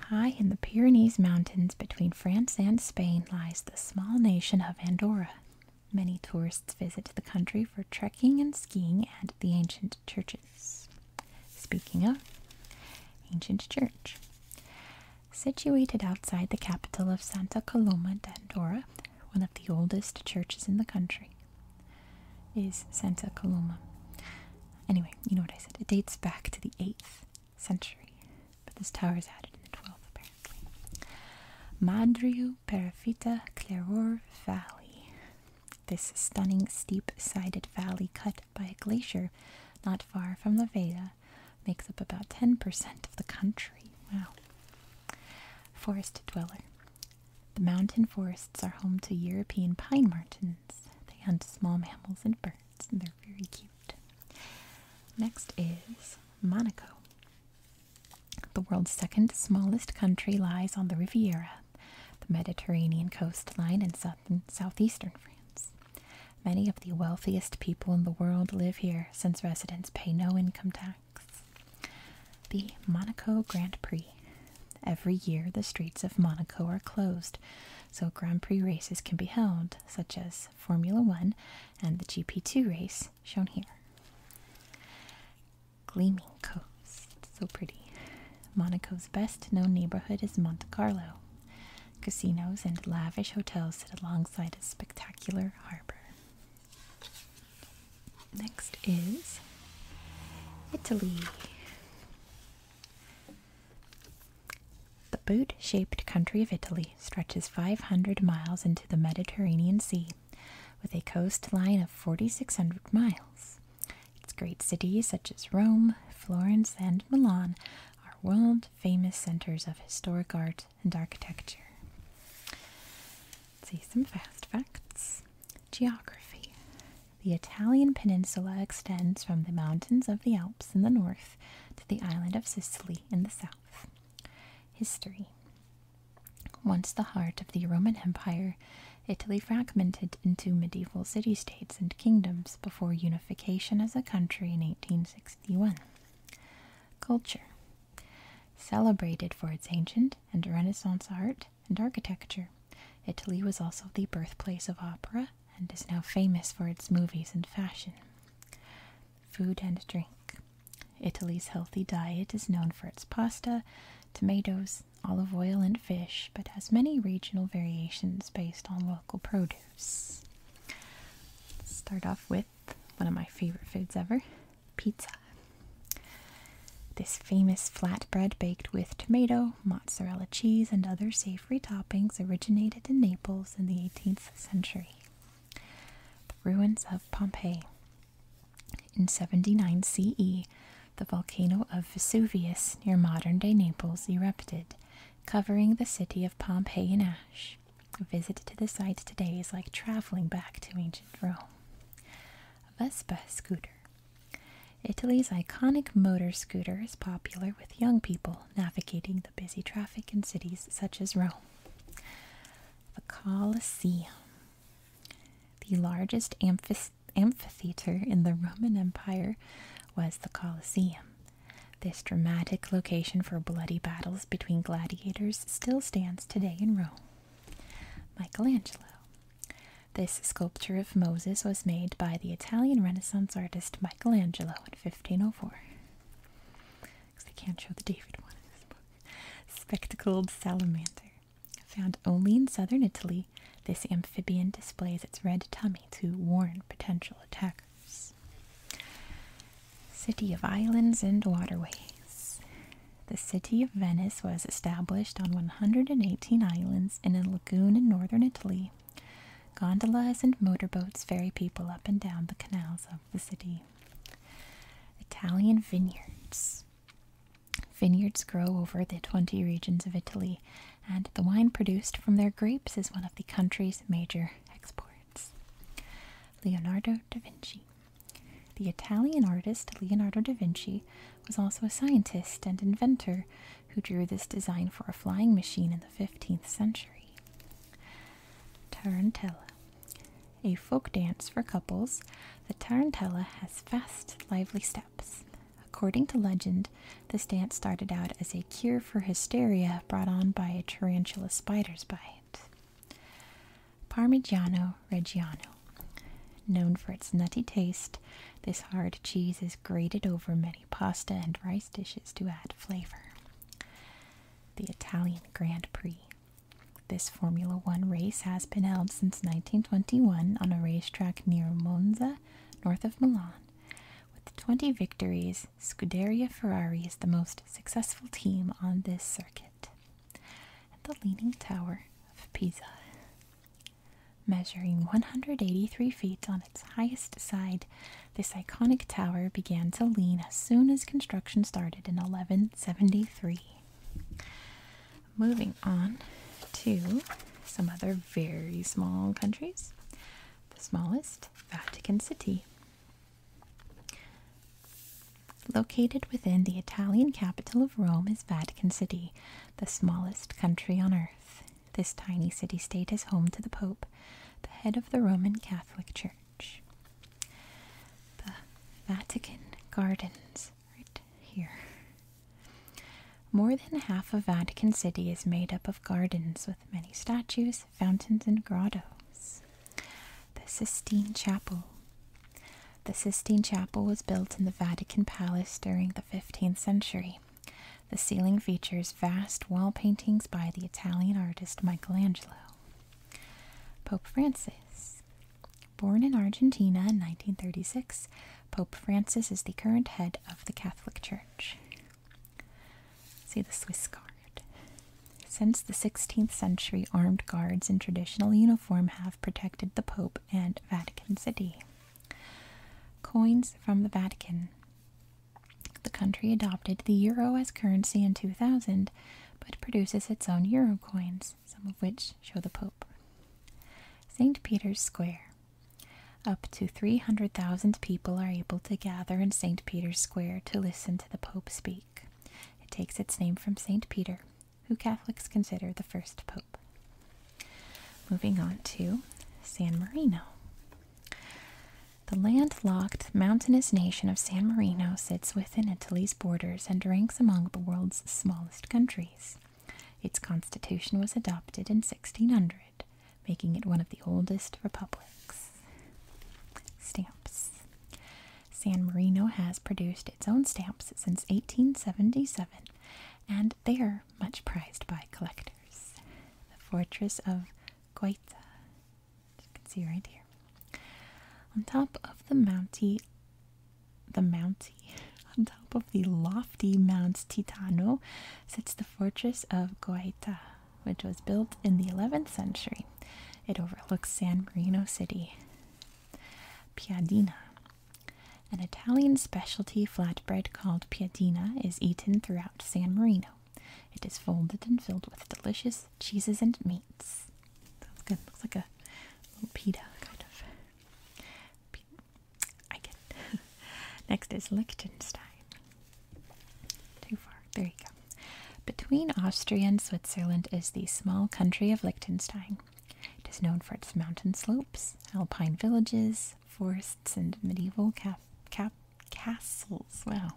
High in the Pyrenees Mountains between France and Spain lies the small nation of Andorra. Many tourists visit the country for trekking and skiing and the ancient churches. Speaking of, ancient church. Situated outside the capital of Santa Coloma d'Andorra, one of the oldest churches in the country, is Santa Coloma. Anyway, you know what I said. It dates back to the 8th century, but this tower is added in the 12th apparently. Madriu Perafita Clairor Valley. This stunning steep sided valley cut by a glacier not far from La Veda, makes up about 10% of the country. Wow. Forest dweller. The mountain forests are home to European pine martins. They hunt small mammals and birds, and they're very cute. Next is Monaco. The world's second smallest country lies on the Riviera, the Mediterranean coastline in southern, southeastern France. Many of the wealthiest people in the world live here since residents pay no income tax. The Monaco Grand Prix. Every year, the streets of Monaco are closed, so Grand Prix races can be held, such as Formula One, and the GP2 race, shown here. Gleaming Coast, so pretty. Monaco's best known neighborhood is Monte Carlo. Casinos and lavish hotels sit alongside a spectacular harbor. Next is Italy. The boot shaped country of Italy stretches 500 miles into the Mediterranean Sea with a coastline of 4,600 miles. Its great cities, such as Rome, Florence, and Milan, are world famous centers of historic art and architecture. Let's see some fast facts. Geography The Italian peninsula extends from the mountains of the Alps in the north to the island of Sicily in the south history. Once the heart of the Roman Empire, Italy fragmented into medieval city states and kingdoms before unification as a country in 1861. Culture Celebrated for its ancient and Renaissance art and architecture, Italy was also the birthplace of opera and is now famous for its movies and fashion. Food and drink. Italy's healthy diet is known for its pasta, tomatoes, olive oil, and fish, but has many regional variations based on local produce. start off with one of my favorite foods ever pizza. This famous flatbread baked with tomato, mozzarella cheese, and other savory toppings originated in Naples in the 18th century. The ruins of Pompeii. In 79 CE, the volcano of Vesuvius near modern day Naples erupted, covering the city of Pompeii in ash. A visit to the site today is like traveling back to ancient Rome. Vespa scooter. Italy's iconic motor scooter is popular with young people navigating the busy traffic in cities such as Rome the Colosseum, the largest amphitheater in the Roman Empire was the Colosseum. This dramatic location for bloody battles between gladiators still stands today in Rome. Michelangelo. This sculpture of Moses was made by the Italian Renaissance artist Michelangelo in 1504 because they can't show the David one in this book. Spectacled salamander. Found only in southern Italy, this amphibian displays its red tummy to warn potential attackers. City of Islands and Waterways. The city of Venice was established on 118 islands in a lagoon in northern Italy. Gondolas and motorboats ferry people up and down the canals of the city. Italian vineyards. Vineyards grow over the 20 regions of Italy, and the wine produced from their grapes is one of the country's major exports. Leonardo da Vinci. The Italian artist Leonardo da Vinci was also a scientist and inventor who drew this design for a flying machine in the 15th century. Tarantella. A folk dance for couples, the tarantella has fast, lively steps. According to legend, this dance started out as a cure for hysteria brought on by a tarantula spider's bite. Parmigiano Reggiano. Known for its nutty taste, this hard cheese is grated over many pasta and rice dishes to add flavor. The Italian Grand Prix. This Formula One race has been held since 1921 on a racetrack near Monza, north of Milan. With 20 victories, Scuderia Ferrari is the most successful team on this circuit. the Leaning Tower of Pisa. Measuring 183 feet on its highest side, this iconic tower began to lean as soon as construction started in 1173. Moving on to some other very small countries. The smallest, Vatican City. Located within the Italian capital of Rome is Vatican City, the smallest country on earth. This tiny city state is home to the Pope, the head of the Roman Catholic Church. The Vatican Gardens, right here. More than half of Vatican City is made up of gardens with many statues, fountains, and grottos. The Sistine Chapel. The Sistine Chapel was built in the Vatican Palace during the 15th century. The ceiling features vast wall paintings by the Italian artist Michelangelo. Pope Francis. Born in Argentina in 1936, Pope Francis is the current head of the Catholic Church. See the Swiss Guard. Since the 16th century, armed guards in traditional uniform have protected the Pope and Vatican City. Coins from the Vatican. The country adopted the euro as currency in 2000, but produces its own euro coins, some of which show the Pope. St. Peter's Square. Up to 300,000 people are able to gather in St. Peter's Square to listen to the Pope speak. It takes its name from St. Peter, who Catholics consider the first Pope. Moving on to San Marino. The landlocked, mountainous nation of San Marino sits within Italy's borders and ranks among the world's smallest countries. Its constitution was adopted in 1600, making it one of the oldest republics. Stamps San Marino has produced its own stamps since 1877, and they are much prized by collectors. The fortress of Guaita you can see right here. On top of the mounty, the mounty, on top of the lofty Mount Titano sits the fortress of Goita, which was built in the 11th century. It overlooks San Marino City. Piadina. An Italian specialty flatbread called piadina is eaten throughout San Marino. It is folded and filled with delicious cheeses and meats. Sounds good. Looks like a little pita, kind of. I get Next is Liechtenstein. Too far. There you go. Between Austria and Switzerland is the small country of Liechtenstein. It is known for its mountain slopes, alpine villages, forests, and medieval castles. Well,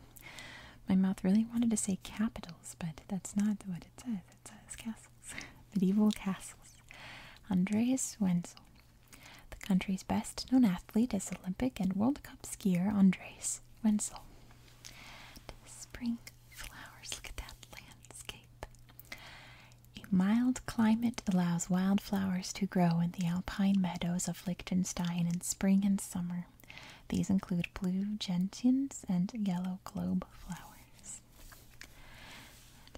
My mouth really wanted to say capital but that's not what it says. It says castles, medieval castles. Andreas Wenzel, the country's best known athlete, is Olympic and World Cup skier Andreas Wenzel. Spring flowers, look at that landscape. A mild climate allows wildflowers to grow in the alpine meadows of Liechtenstein in spring and summer. These include blue gentians and yellow globe flowers.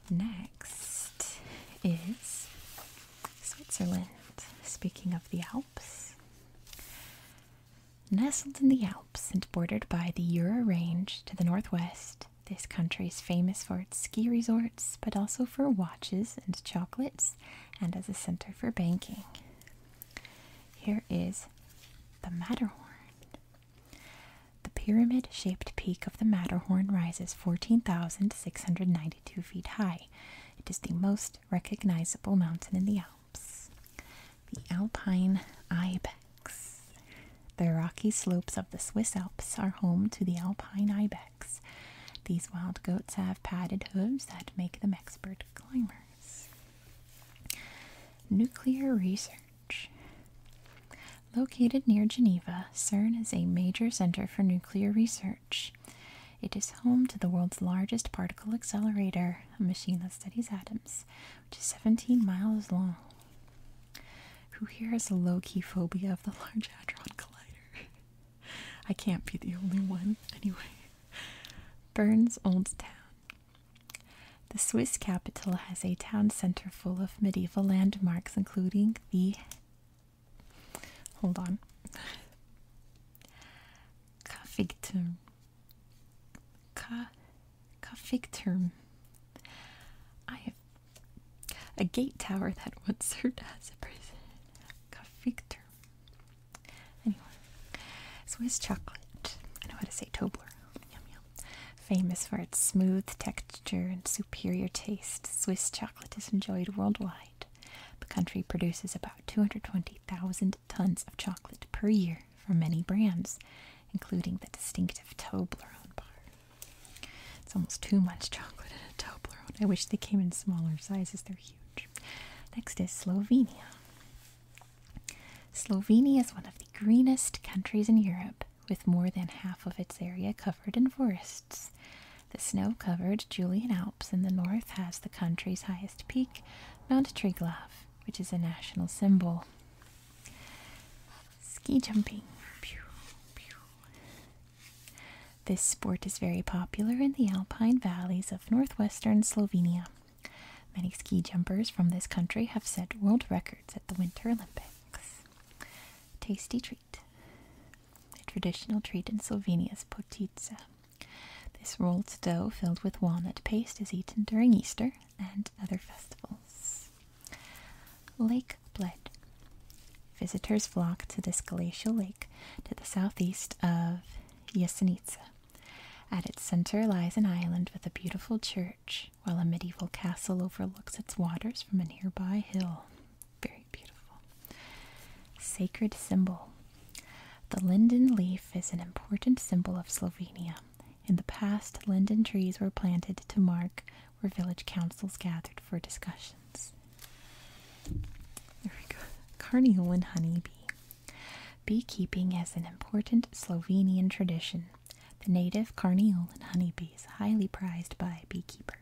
Next is Switzerland. Speaking of the Alps, nestled in the Alps and bordered by the Jura Range to the northwest, this country is famous for its ski resorts, but also for watches and chocolates, and as a center for banking. Here is the Matterhorn. The pyramid shaped peak of the Matterhorn rises 14,692 feet high. It is the most recognizable mountain in the Alps. The Alpine Ibex. The rocky slopes of the Swiss Alps are home to the Alpine Ibex. These wild goats have padded hooves that make them expert climbers. Nuclear research. Located near Geneva, CERN is a major center for nuclear research. It is home to the world's largest particle accelerator, a machine that studies atoms, which is 17 miles long. Who here has a low key phobia of the Large Hadron Collider? I can't be the only one, anyway. Burns Old Town. The Swiss capital has a town center full of medieval landmarks, including the. Hold on. Kaffigturm. Ka, Kaffigturm. I have a gate tower that once served as a prison. Kaffigturm. Anyway, Swiss chocolate. I know how to say Toblerone. Yum yum. Famous for its smooth texture and superior taste, Swiss chocolate is enjoyed worldwide. The country produces about 220,000 tons of chocolate per year for many brands, including the distinctive Toblerone bar. It's almost too much chocolate in a Toblerone. I wish they came in smaller sizes, they're huge. Next is Slovenia. Slovenia is one of the greenest countries in Europe, with more than half of its area covered in forests. The snow covered Julian Alps in the north has the country's highest peak, Mount Triglav, which is a national symbol. Ski jumping. This sport is very popular in the alpine valleys of northwestern Slovenia. Many ski jumpers from this country have set world records at the Winter Olympics. Tasty treat. A traditional treat in Slovenia is potica. This rolled dough filled with walnut paste is eaten during Easter and other festivals. Lake Bled. Visitors flock to this glacial lake to the southeast of Jesenice. At its center lies an island with a beautiful church, while a medieval castle overlooks its waters from a nearby hill. Very beautiful. Sacred symbol. The linden leaf is an important symbol of Slovenia. In the past, linden trees were planted to mark where village councils gathered for discussions. There we go. Carniole and honeybee. Beekeeping is an important Slovenian tradition. The native carniolan honeybees, highly prized by beekeepers.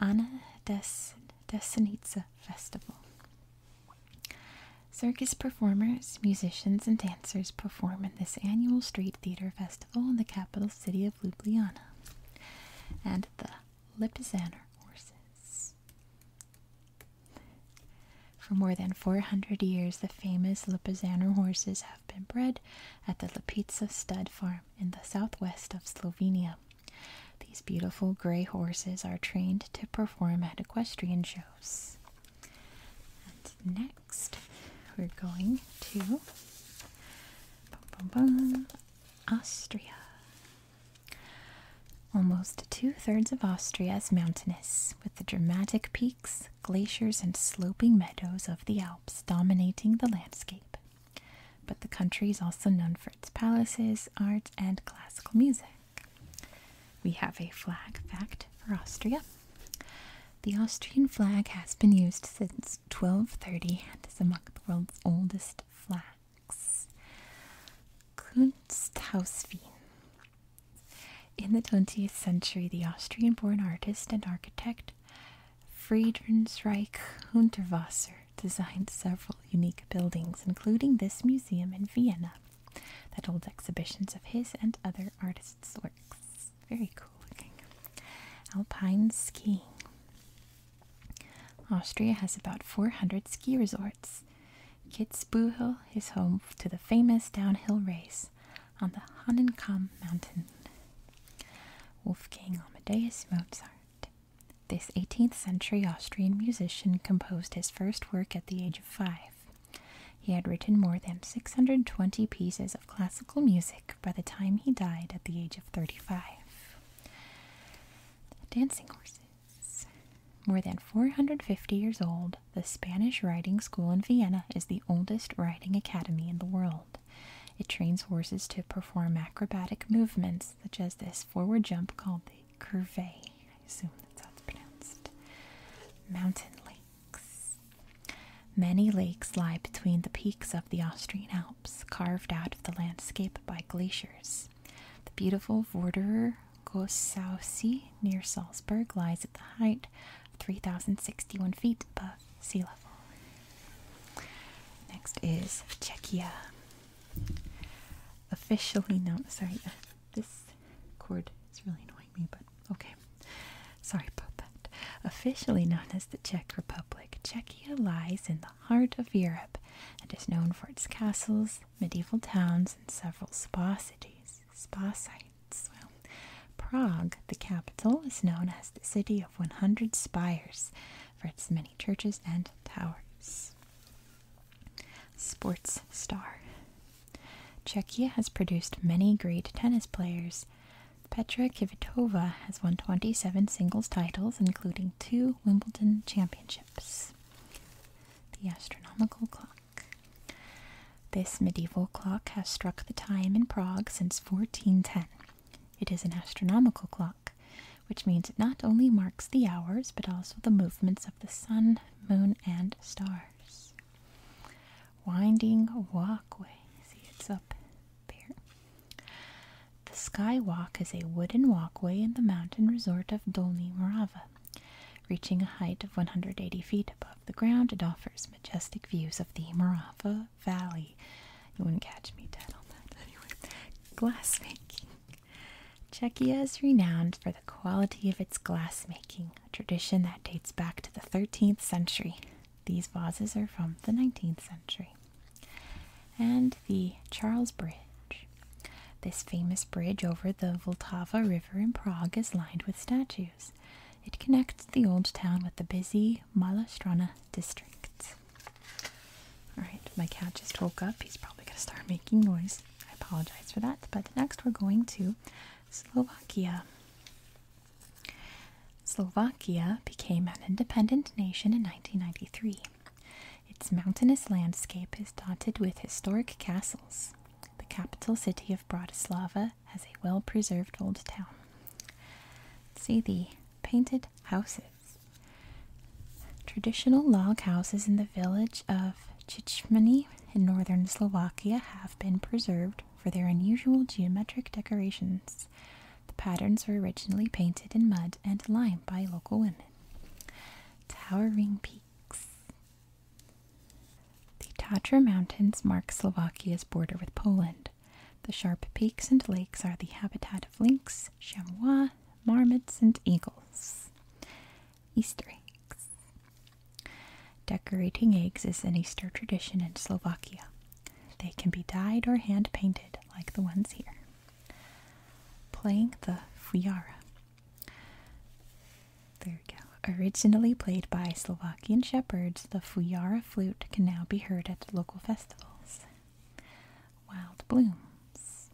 Anna Des Desenica Festival. Circus performers, musicians, and dancers perform in this annual street theater festival in the capital city of Ljubljana. And the Lipizzan horses. For more than 400 years, the famous Lipizzano horses have been bred at the Lipizza stud farm in the southwest of Slovenia. These beautiful gray horses are trained to perform at equestrian shows. next, we're going to bum, bum, bum, Austria. Almost two thirds of Austria is mountainous, with the dramatic peaks, glaciers, and sloping meadows of the Alps dominating the landscape. But the country is also known for its palaces, art, and classical music. We have a flag fact for Austria. The Austrian flag has been used since 1230 and is among the world's oldest flags. Kunsthauswien in the 20th century, the Austrian born artist and architect Friedensreich Hundertwasser designed several unique buildings, including this museum in Vienna that holds exhibitions of his and other artists' works. Very cool looking. Alpine skiing. Austria has about 400 ski resorts, Kitzbühel is home to the famous downhill race on the Hahnenkamm mountain. Wolfgang Amadeus Mozart. This 18th century Austrian musician composed his first work at the age of five. He had written more than 620 pieces of classical music by the time he died at the age of 35. dancing horses. More than 450 years old, the Spanish Riding School in Vienna is the oldest riding academy in the world. It trains horses to perform acrobatic movements, such as this forward jump called the curve. I assume that's how it's pronounced. Mountain lakes. Many lakes lie between the peaks of the Austrian Alps, carved out of the landscape by glaciers. The beautiful Vorderer Gossausi near Salzburg lies at the height of 3,061 feet above sea level. Next is Czechia. Officially known, sorry, uh, this cord is really annoying me, but okay. Sorry about that. Officially known as the Czech Republic, Czechia lies in the heart of Europe and is known for its castles, medieval towns, and several spa cities spa sites. Prague, the capital, is known as the city of 100 spires for its many churches and towers. Sports star. Czechia has produced many great tennis players. Petra Kvitova has won 27 singles titles, including two Wimbledon championships. The astronomical clock. This medieval clock has struck the time in Prague since 1410. It is an astronomical clock, which means it not only marks the hours but also the movements of the sun, moon, and stars. Winding walkway. See, it's up there. The Skywalk is a wooden walkway in the mountain resort of Dolni Morava. Reaching a height of 180 feet above the ground, it offers majestic views of the Morava Valley. You wouldn't catch me dead on that anyway. Glassmaking. Czechia is renowned for the quality of its glassmaking, a tradition that dates back to the 13th century. These vases are from the 19th century. And the Charles Bridge. This famous bridge over the Vltava River in Prague is lined with statues. It connects the old town with the busy Malastrana district. Alright, my cat just woke up. He's probably going to start making noise. I apologize for that. But next we're going to Slovakia. Slovakia became an independent nation in 1993. Its mountainous landscape is dotted with historic castles, the capital city of Bratislava has a well preserved old town. see the painted houses. Traditional log houses in the village of Chichmany in northern Slovakia have been preserved for their unusual geometric decorations. The patterns were originally painted in mud and lime by local women. Towering peaks. The Tatra Mountains mark Slovakia's border with Poland. The sharp peaks and lakes are the habitat of lynx, chamois, marmots, and eagles. Easter eggs. Decorating eggs is an Easter tradition in Slovakia. They can be dyed or hand painted, like the ones here. Playing the fujara. Originally played by Slovakian shepherds, the fujara flute can now be heard at local festivals. Wild blooms.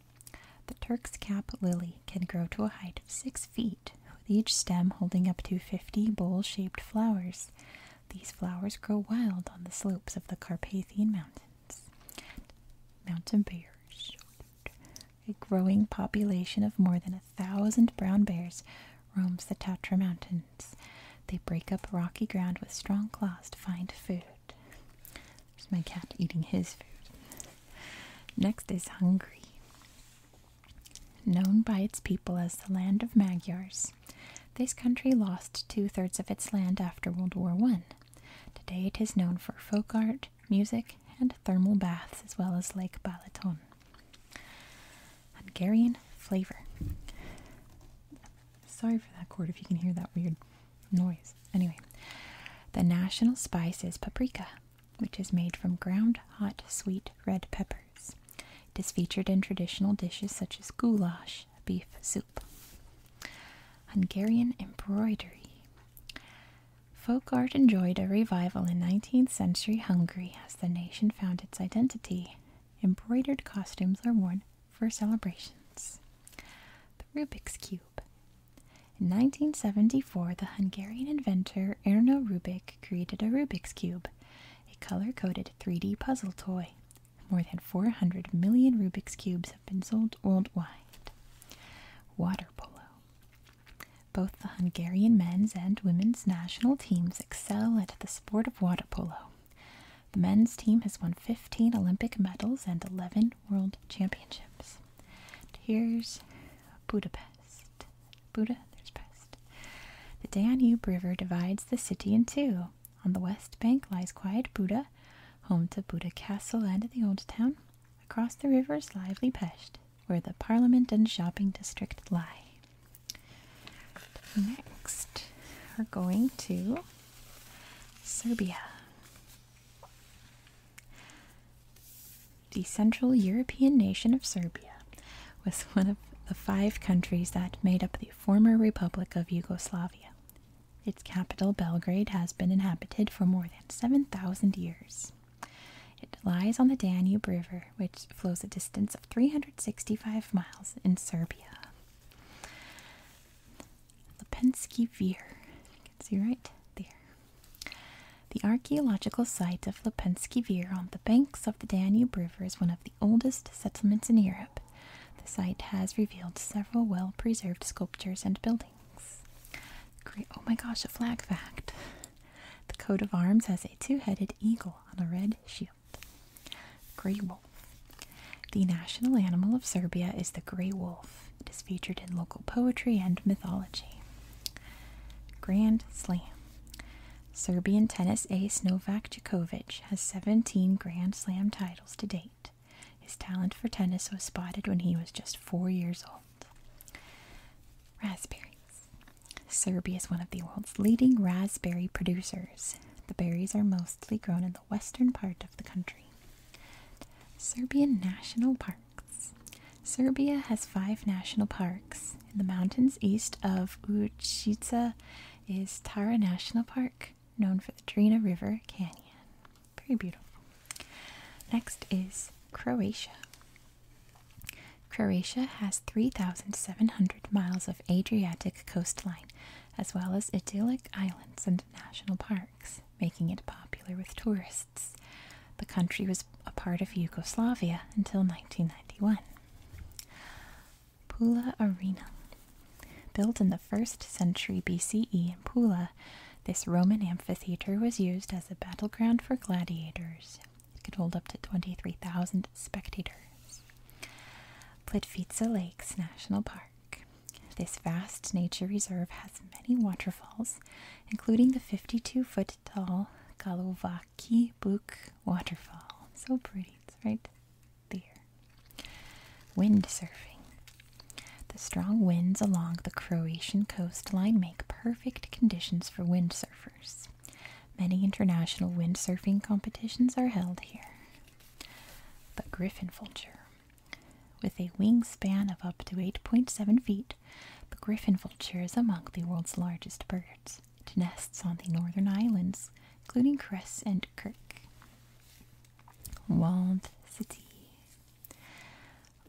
The Turk's cap lily can grow to a height of six feet, with each stem holding up to 50 bowl shaped flowers. These flowers grow wild on the slopes of the Carpathian Mountains. Mountain bears a growing population of more than a thousand brown bears roams the Tatra Mountains. They break up rocky ground with strong claws to find food. There's my cat eating his food. Next is Hungary. Known by its people as the land of Magyars, this country lost two thirds of its land after World War I. Today it is known for folk art, music, and thermal baths, as well as Lake Balaton. Hungarian flavor. Sorry for that chord. if you can hear that weird noise. Anyway, the national spice is paprika, which is made from ground hot sweet red peppers. It is featured in traditional dishes such as goulash, beef soup. Hungarian embroidery. Folk art enjoyed a revival in 19th century Hungary as the nation found its identity. Embroidered costumes are worn for celebrations. The Rubik's Cube. In 1974, the Hungarian inventor Erno Rubik created a Rubik's Cube, a color coded 3D puzzle toy. More than 400 million Rubik's Cubes have been sold worldwide. Water polo. Both the Hungarian men's and women's national teams excel at the sport of water polo. The men's team has won 15 Olympic medals and 11 world championships. here's Budapest. Budapest. The Danube River divides the city in two. On the west bank lies quiet Buda, home to Buda Castle and the Old Town across the river's lively Pest, where the Parliament and Shopping District lie. Next, we're going to Serbia. The Central European nation of Serbia was one of the five countries that made up the former Republic of Yugoslavia. Its capital, Belgrade, has been inhabited for more than 7,000 years. It lies on the Danube River, which flows a distance of 365 miles in Serbia. Lepenski Vir, you can see right there. The archaeological site of Lepenski Vir on the banks of the Danube River is one of the oldest settlements in Europe. The site has revealed several well preserved sculptures and buildings. Great, oh my gosh, a flag fact. The coat of arms has a two headed eagle on a red shield. Grey wolf. The national animal of Serbia is the grey wolf. It is featured in local poetry and mythology. Grand Slam. Serbian tennis ace Novak Djokovic has 17 Grand Slam titles to date. His talent for tennis was spotted when he was just four years old. Raspberries. Serbia is one of the world's leading raspberry producers. The berries are mostly grown in the western part of the country. Serbian national parks. Serbia has five national parks. In the mountains east of Ucica is Tara National Park, known for the Drina River Canyon. Very beautiful. Next is Croatia. Croatia has 3,700 miles of Adriatic coastline, as well as idyllic islands and national parks, making it popular with tourists. The country was a part of Yugoslavia until 1991. Pula Arena. Built in the 1st century BCE in Pula, this Roman amphitheater was used as a battleground for gladiators. It could hold up to 23,000 spectators. Plitvice Lakes National Park. This vast nature reserve has many waterfalls, including the 52 foot tall Galovaki Buk waterfall. So pretty, right there. Windsurfing. The strong winds along the Croatian coastline make perfect conditions for windsurfers. Many international windsurfing competitions are held here. But griffon vulture. With a wingspan of up to 8.7 feet, the griffin vulture is among the world's largest birds. It nests on the northern islands, including Cress and Kirk. Walled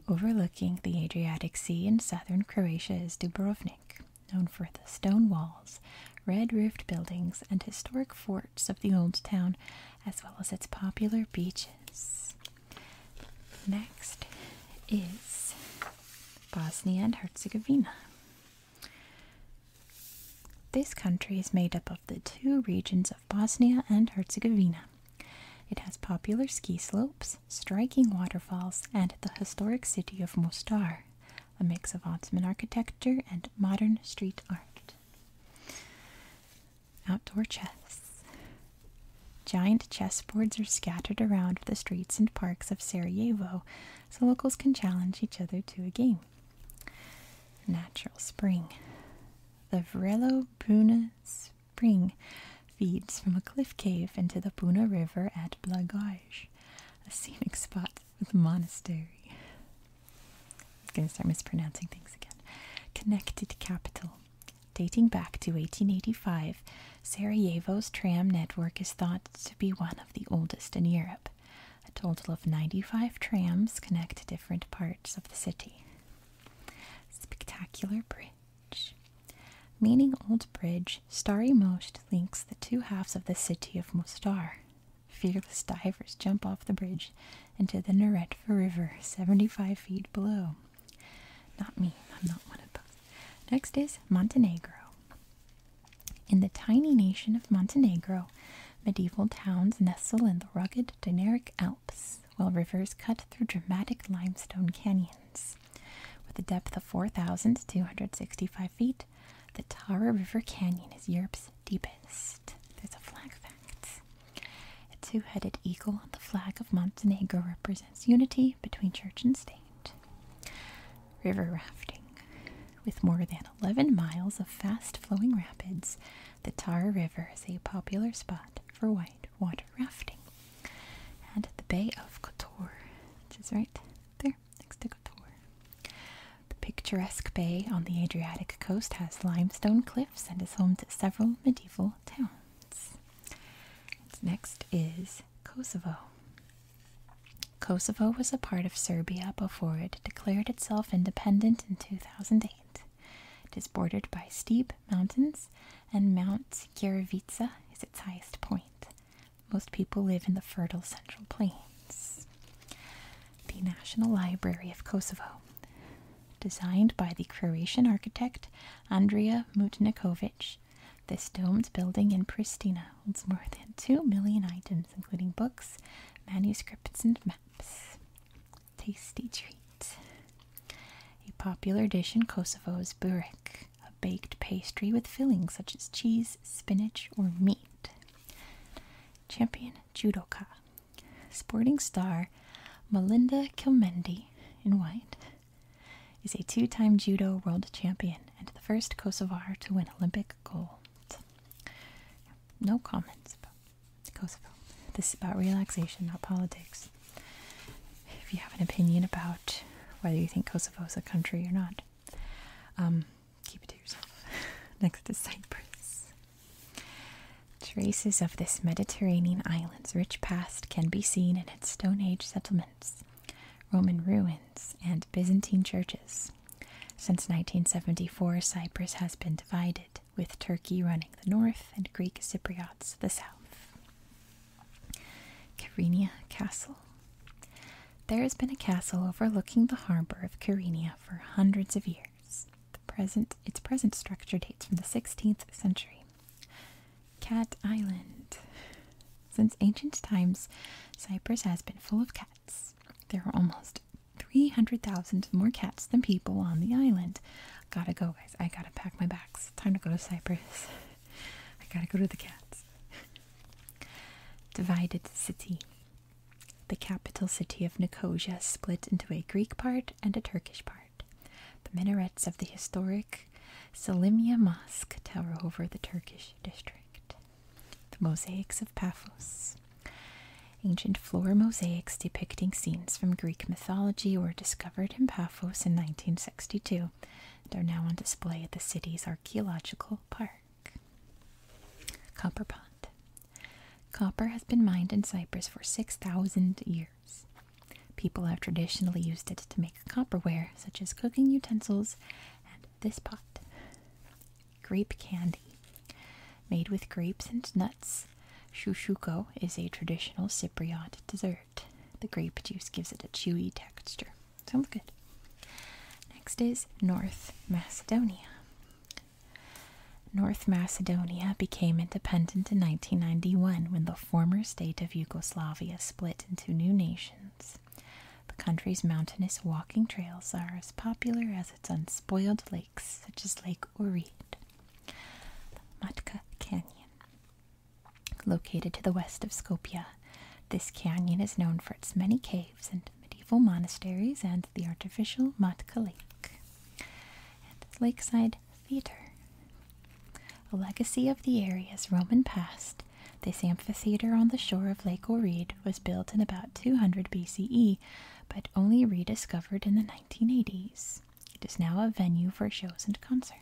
Overlooking the Adriatic Sea in southern Croatia is Dubrovnik, known for the stone walls, red roofed buildings, and historic forts of the old town, as well as its popular beaches. Next is Bosnia and Herzegovina. This country is made up of the two regions of Bosnia and Herzegovina. It has popular ski slopes, striking waterfalls, and the historic city of Mostar, a mix of Ottoman architecture and modern street art. Outdoor chess. Giant chessboards are scattered around the streets and parks of Sarajevo, so locals can challenge each other to a game. Natural spring. The Vrelo Bruna spring feeds from a cliff cave into the Puna River at Blagaj, a scenic spot with a monastery. I'm going to start mispronouncing things again. Connected capital. Dating back to 1885, Sarajevo's tram network is thought to be one of the oldest in Europe. A total of 95 trams connect different parts of the city. Spectacular bridge. Meaning Old Bridge, Starry Most links the two halves of the city of Mostar. Fearless divers jump off the bridge into the Naretva River, 75 feet below. Not me, I'm not one of those. Next is Montenegro. In the tiny nation of Montenegro, medieval towns nestle in the rugged Dinaric Alps, while rivers cut through dramatic limestone canyons. With a depth of 4,265 feet, the Tara River Canyon is Europe's deepest. There's a flag fact. A two headed eagle on the flag of Montenegro represents unity between church and state. River rafting. With more than 11 miles of fast flowing rapids, the Tara River is a popular spot for white water rafting. And the Bay of Kotor, which is right there next to Kotor. The picturesque bay on the Adriatic coast has limestone cliffs and is home to several medieval towns. Next is Kosovo. Kosovo was a part of Serbia before it declared itself independent in 2008. It is bordered by steep mountains and Mount Giravica is its highest point. Most people live in the fertile central plains. The National Library of Kosovo, designed by the Croatian architect Andrea Mutniković, this domed building in Pristina holds more than 2 million items, including books, manuscripts, and maps. Tasty treats. A popular dish in Kosovo is burek, a baked pastry with fillings such as cheese, spinach, or meat. Champion judoka, sporting star Melinda Kilmendi in white, is a two time judo world champion and the first Kosovar to win Olympic gold. No comments about Kosovo. This is about relaxation, not politics. If you have an opinion about whether you think Kosovo is a country or not, um, keep it to yourself. Next is Cyprus. Traces of this Mediterranean island's rich past can be seen in its Stone Age settlements, Roman ruins, and Byzantine churches. Since 1974, Cyprus has been divided, with Turkey running the north and Greek Cypriots the south. Carinia Castle. There has been a castle overlooking the harbor of Carinia for hundreds of years. The present, its present structure dates from the 16th century. Cat Island. Since ancient times, Cyprus has been full of cats. There are almost 300,000 more cats than people on the island. Gotta go, guys. I gotta pack my bags. Time to go to Cyprus. I gotta go to the cats. Divided city. The capital city of Nicosia split into a Greek part and a Turkish part. The minarets of the historic Selimia Mosque tower over the Turkish district. The mosaics of Paphos. Ancient floor mosaics depicting scenes from Greek mythology were discovered in Paphos in 1962. Mexico. They're now on display at the city's archaeological park. Copper pot. Copper has been mined in Cyprus for 6,000 years. People have traditionally used it to make copperware, such as cooking utensils and this pot. Grape candy. Made with grapes and nuts, shushuko is a traditional Cypriot dessert. The grape juice gives it a chewy texture. Sounds good. Next is North Macedonia. North Macedonia became independent in 1991 when the former state of Yugoslavia split into new nations. The country's mountainous walking trails are as popular as its unspoiled lakes, such as Lake Oread, the Matka Canyon. Located to the west of Skopje, this canyon is known for its many caves and medieval monasteries and the artificial Matka and lakeside theater. A legacy of the area's Roman past, this amphitheater on the shore of Lake Oread was built in about 200 BCE but only rediscovered in the 1980s. It is now a venue for shows and concerts.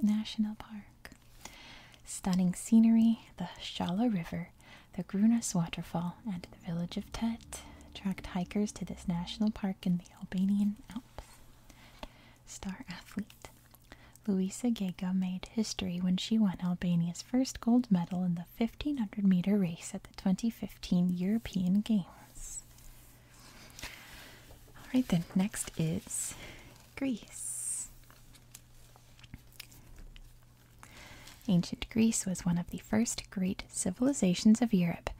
National Park. Stunning scenery, the Shala River, the Grunas Waterfall, and the village of Tet attract hikers to this national park in the Albanian Alps. Star athlete. Luisa Gega made history when she won Albania's first gold medal in the 1500 meter race at the 2015 European Games. All right, then next is Greece. Ancient Greece was one of the first great civilizations of Europe,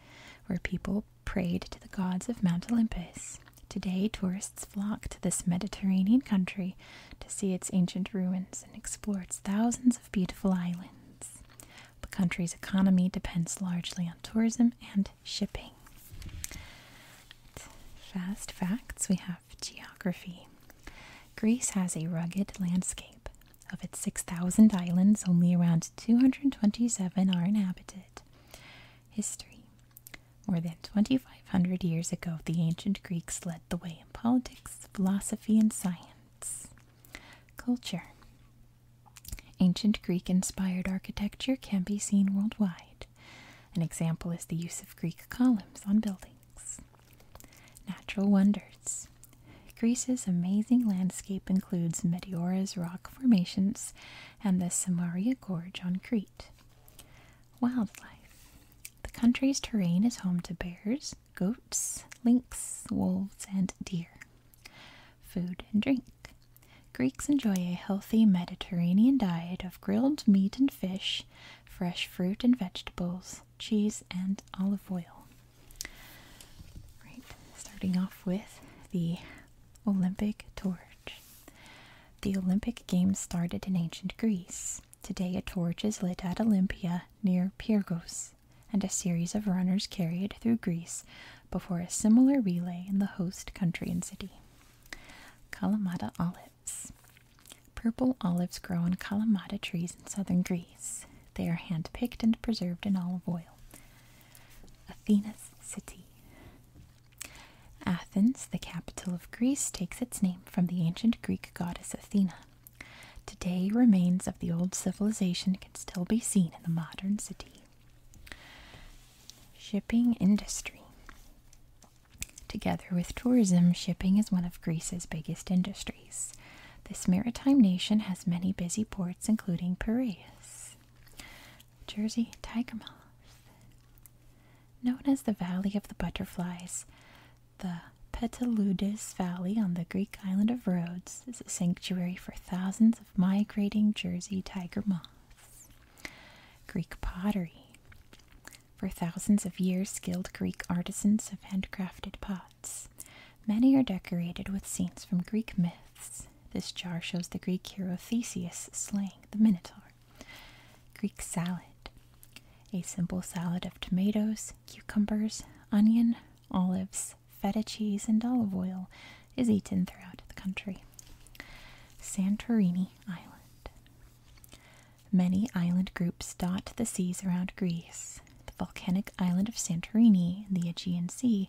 where people prayed to the gods of Mount Olympus. Today, tourists flock to this Mediterranean country to see its ancient ruins and explore its thousands of beautiful islands. The country's economy depends largely on tourism and shipping. Fast facts we have geography. Greece has a rugged landscape. Of its 6,000 islands, only around 227 are inhabited. History. More than 2,500 years ago, the ancient Greeks led the way in politics, philosophy, and science. Culture. Ancient Greek inspired architecture can be seen worldwide. An example is the use of Greek columns on buildings. Natural wonders. Greece's amazing landscape includes Meteora's rock formations and the Samaria Gorge on Crete. Wildlife. The country's terrain is home to bears, goats, lynx, wolves, and deer. Food and drink. Greeks enjoy a healthy Mediterranean diet of grilled meat and fish, fresh fruit and vegetables, cheese, and olive oil. Right, starting off with the Olympic torch. The Olympic Games started in ancient Greece. Today, a torch is lit at Olympia near Pyrgos, and a series of runners carry it through Greece before a similar relay in the host country and city. Kalamata olives. Purple olives grow on Kalamata trees in southern Greece. They are hand picked and preserved in olive oil. Athena's city. Athens, the capital of Greece, takes its name from the ancient Greek goddess Athena. Today, remains of the old civilization can still be seen in the modern city. Shipping industry. Together with tourism, shipping is one of Greece's biggest industries. This maritime nation has many busy ports, including Piraeus, Jersey, tiger Tigermouth. Known as the Valley of the Butterflies, the Petaloudis Valley on the Greek island of Rhodes is a sanctuary for thousands of migrating Jersey tiger moths. Greek pottery. For thousands of years, skilled Greek artisans have handcrafted pots. Many are decorated with scenes from Greek myths. This jar shows the Greek hero Theseus slaying the Minotaur. Greek salad. A simple salad of tomatoes, cucumbers, onion, olives, feta cheese, and olive oil is eaten throughout the country. Santorini Island. Many island groups dot the seas around Greece. The volcanic island of Santorini in the Aegean Sea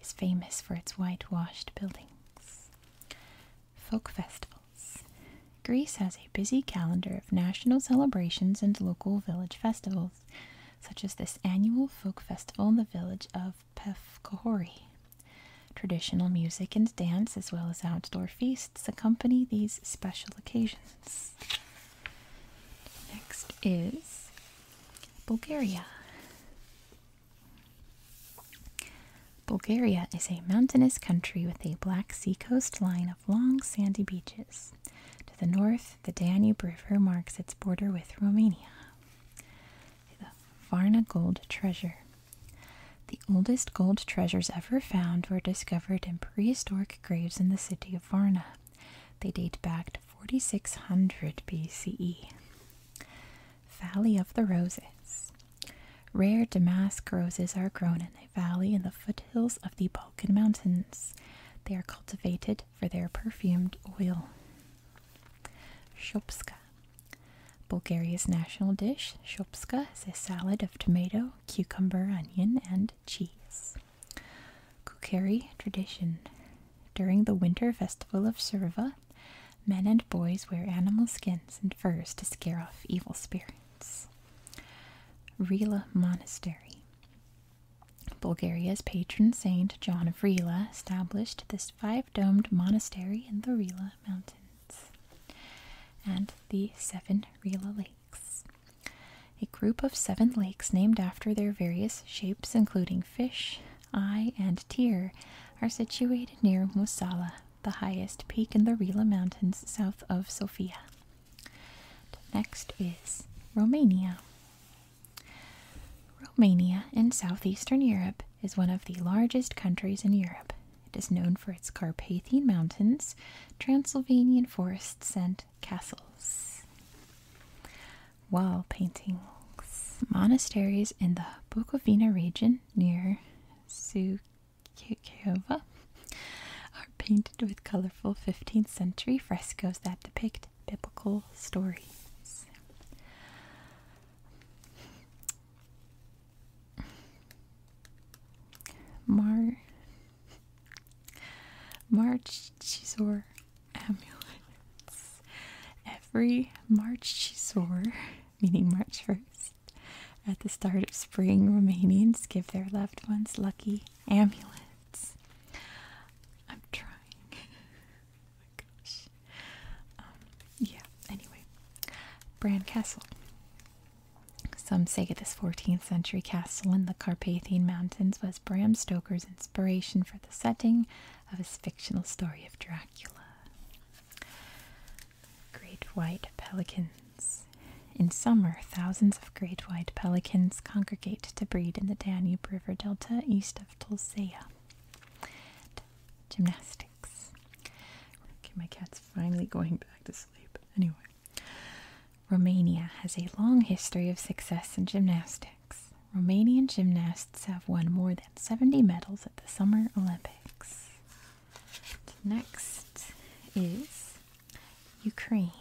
is famous for its whitewashed buildings. Folk festivals. Greece has a busy calendar of national celebrations and local village festivals, such as this annual folk festival in the village of Pef Traditional music and dance, as well as outdoor feasts, accompany these special occasions. Next is Bulgaria. Bulgaria is a mountainous country with a Black Sea coast line of long sandy beaches. To the north, the Danube River marks its border with Romania. The Varna Gold Treasure. The oldest gold treasures ever found were discovered in prehistoric graves in the city of Varna. They date back to 4600 BCE. Valley of the Roses. Rare damask roses are grown in a valley in the foothills of the Balkan Mountains. They are cultivated for their perfumed oil. Shopska. Bulgaria's national dish, shopska, is a salad of tomato, cucumber, onion, and cheese. Kukeri tradition. During the winter festival of Surva, men and boys wear animal skins and furs to scare off evil spirits. Rila Monastery. Bulgaria's patron saint John of Rila established this 5 domed monastery in the Rila Mountains and the seven Rila Lakes. A group of seven lakes named after their various shapes, including fish, eye, and tear, are situated near Musala, the highest peak in the Rila Mountains south of Sofia. Next is Romania. Romania in southeastern Europe is one of the largest countries in Europe. It is known for its Carpathian Mountains, Transylvanian forests, and castles. Wall paintings. Monasteries in the Bukovina region near Sukiova are painted with colorful 15th century frescoes that depict biblical stories. Mar Marchesor amulets. Every March Marchesor, meaning March 1st, at the start of spring, Romanians give their loved ones lucky amulets. I'm trying. Oh um, yeah, anyway. Bran Castle. Some say this 14th century castle in the Carpathian Mountains was Bram Stoker's inspiration for the setting of his fictional story of Dracula. Great white pelicans. In summer, thousands of great white pelicans congregate to breed in the Danube River Delta east of Tulcea. Gymnastics. Okay, my cat's finally going back to sleep. Anyway, Romania has a long history of success in gymnastics. Romanian gymnasts have won more than 70 medals at the Summer Olympics. Next is Ukraine.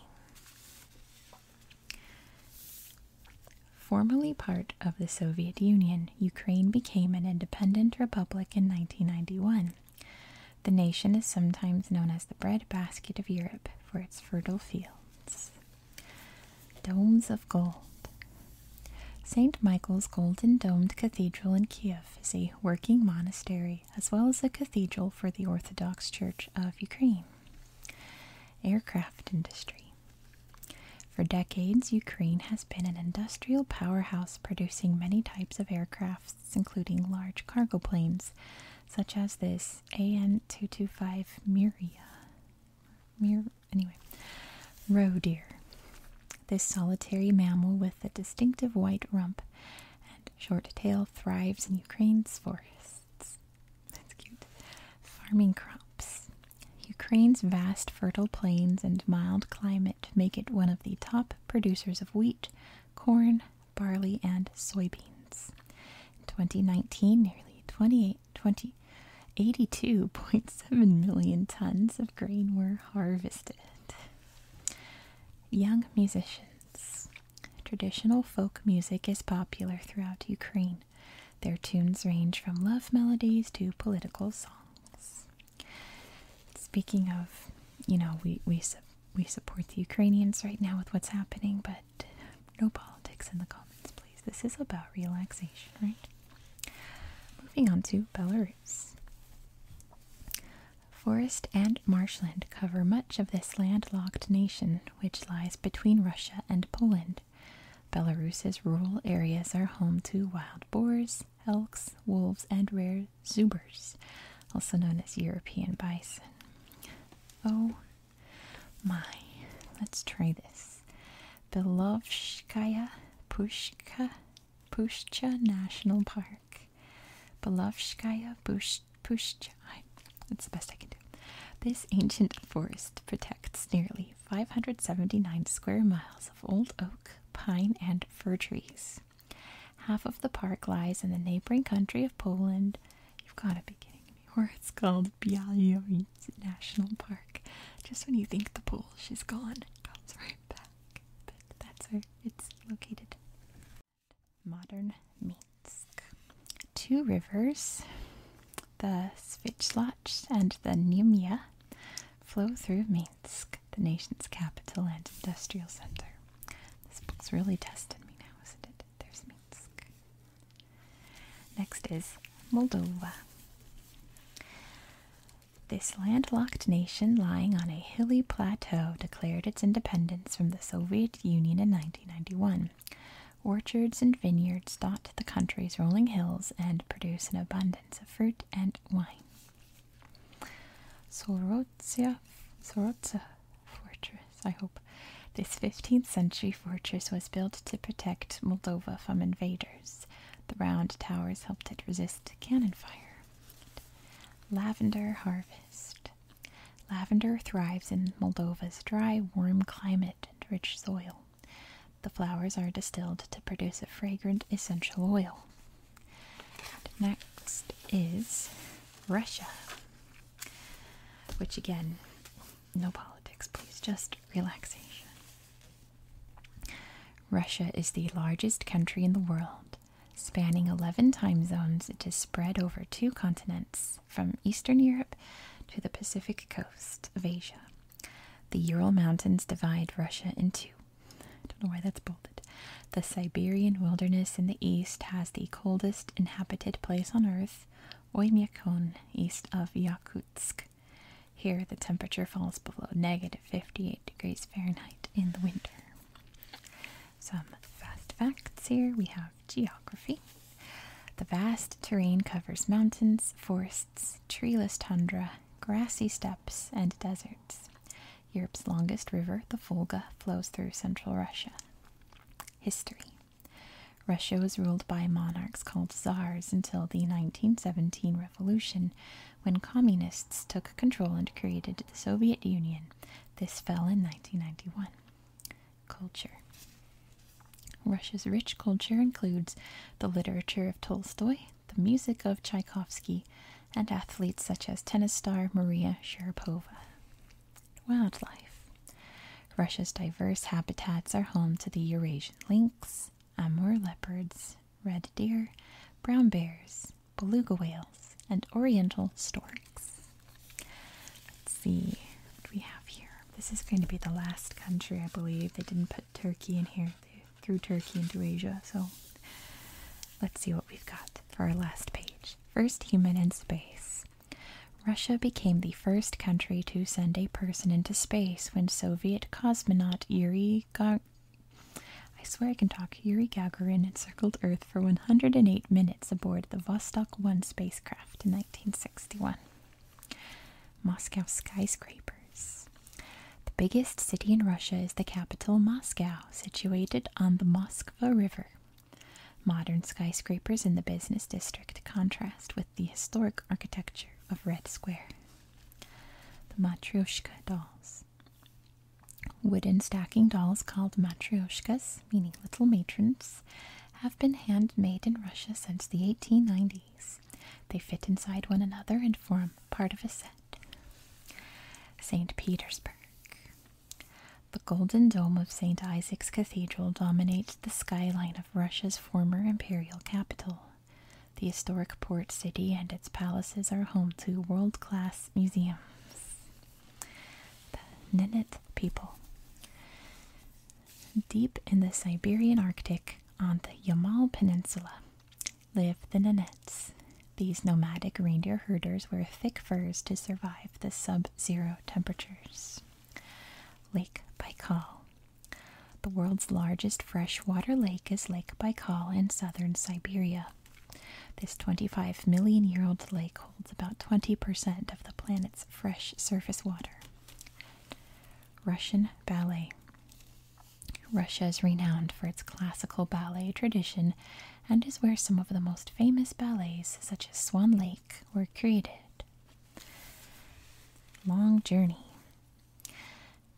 Formerly part of the Soviet Union, Ukraine became an independent republic in 1991. The nation is sometimes known as the breadbasket of Europe for its fertile fields. Domes of Gold St. Michael's Golden Domed Cathedral in Kiev is a working monastery as well as a cathedral for the Orthodox Church of Ukraine. Aircraft Industry for decades, Ukraine has been an industrial powerhouse producing many types of aircrafts, including large cargo planes, such as this AN-225 Miria. Mir anyway, roe deer. This solitary mammal with a distinctive white rump and short tail thrives in Ukraine's forests. That's cute. Farming crops, Ukraine's vast fertile plains and mild climate make it one of the top producers of wheat, corn, barley, and soybeans. In 2019, nearly 28, 20, tons of grain were harvested. Young musicians. Traditional folk music is popular throughout Ukraine. Their tunes range from love melodies to political songs. Speaking of, you know, we we we support the Ukrainians right now with what's happening, but no politics in the comments, please. This is about relaxation, right? Moving on to Belarus. Forest and marshland cover much of this landlocked nation, which lies between Russia and Poland. Belarus's rural areas are home to wild boars, elks, wolves, and rare zubers, also known as European bison. Oh my, let's try this. Belovskaya Pushka Pushcha National Park. Belovskaya Push, Pushcha. That's the best I can do. This ancient forest protects nearly 579 square miles of old oak, pine, and fir trees. Half of the park lies in the neighboring country of Poland. You've got a beginning. kidding it's called Bialowieża National Park. Just when you think the pool, she's gone, comes right back. But that's where it's located. Modern Minsk. Two rivers, the Svitlach and the Nymia, flow through Minsk. Minsk, the nation's capital and industrial center. This book's really testing me now, isn't it? There's Minsk. Next is Moldova. This landlocked nation lying on a hilly plateau declared its independence from the Soviet Union in 1991. Orchards and vineyards dot the country's rolling hills and produce an abundance of fruit, and wine. Sorotsia, Sorotsa Fortress, I hope. This 15th century fortress was built to protect Moldova from invaders. The round towers helped it resist cannon fire. Lavender harvest. Lavender thrives in Moldova's dry, warm climate and rich soil. The flowers are distilled to produce a fragrant essential oil. next is Russia, which again, no politics, please, just relaxation. Russia is the largest country in the world, spanning 11 time zones. It is spread over two continents, from Eastern Europe to the Pacific coast of Asia. The Ural Mountains divide Russia in I don't know why that's bolded. The Siberian wilderness in the east has the coldest inhabited place on earth, Oymyakon, east of Yakutsk. Here, the temperature falls below negative 58 degrees Fahrenheit in the winter. Some fast facts here we have geography. The vast terrain covers mountains, forests, treeless tundra, grassy steppes, and deserts. Europe's longest river, the Volga, flows through central Russia. History Russia was ruled by monarchs called czars until the 1917 revolution, when communists took control and created the Soviet Union. This fell in 1991. Culture Russia's rich culture includes the literature of Tolstoy, the music of Tchaikovsky, and athletes such as tennis star Maria Sharapova. Wildlife Russia's diverse habitats are home to the Eurasian lynx, Amur leopards, red deer, brown bears, beluga whales, and oriental storks. Let's see what we have here. This is going to be the last country, I believe. They didn't put Turkey in here through Turkey into Asia. So let's see what we've got for our last page. First human in space. Russia became the first country to send a person into space when Soviet cosmonaut Yuri Gagarin I swear I can talk Yuri Gagarin encircled Earth for 108 minutes aboard the Vostok 1 spacecraft in 1961. Moscow skyscrapers. The biggest city in Russia is the capital, Moscow, situated on the Moskva River. Modern skyscrapers in the business district contrast with the historic architecture of Red Square. The Matryoshka dolls. Wooden stacking dolls called matryoshkas, meaning little matrons, have been handmade in Russia since the 1890s. They fit inside one another and form part of a set. St. Petersburg. The golden dome of St. Isaac's Cathedral dominates the skyline of Russia's former imperial capital. The historic port city and its palaces are home to world class museums. The Nenets people. Deep in the Siberian Arctic, on the Yamal Peninsula, Live the Nanettes. These nomadic reindeer herders wear thick furs to survive the sub zero temperatures. Lake Baikal. The world's largest freshwater lake is Lake Baikal in southern Siberia. This 25 million year old lake holds about 20% of the planet's fresh surface water. Russian ballet. Russia is renowned for its classical ballet tradition and is where some of the most famous ballets, such as Swan Lake, were created. Long Journey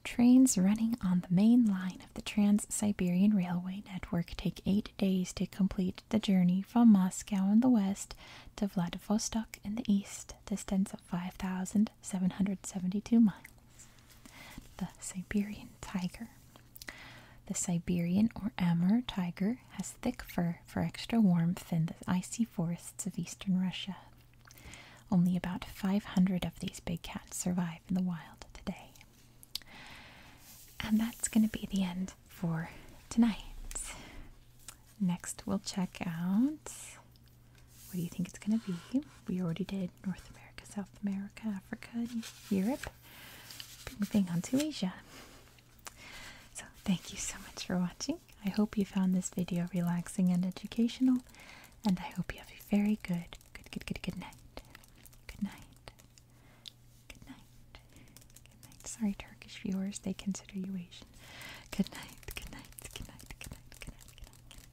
Trains running on the main line of the Trans Siberian Railway network take eight days to complete the journey from Moscow in the west to Vladivostok in the east, distance of 5,000 772 miles. The Siberian tiger. The Siberian or Amur tiger has thick fur for extra warmth in the icy forests of eastern Russia. Only about 500 of these big cats survive in the wild today. And that's going to be the end for tonight. Next, we'll check out what do you think it's going to be? We already did North America, South America, Africa, Europe. Moving on to Asia. So, thank you so much for watching. I hope you found this video relaxing and educational, and I hope you have a very good, good, good, good, good night. Good night. Good night. Good night. Sorry, Turkish viewers, they consider you Asian. Good night. Good night. Good night. Good night. Good night. Good night. Good night.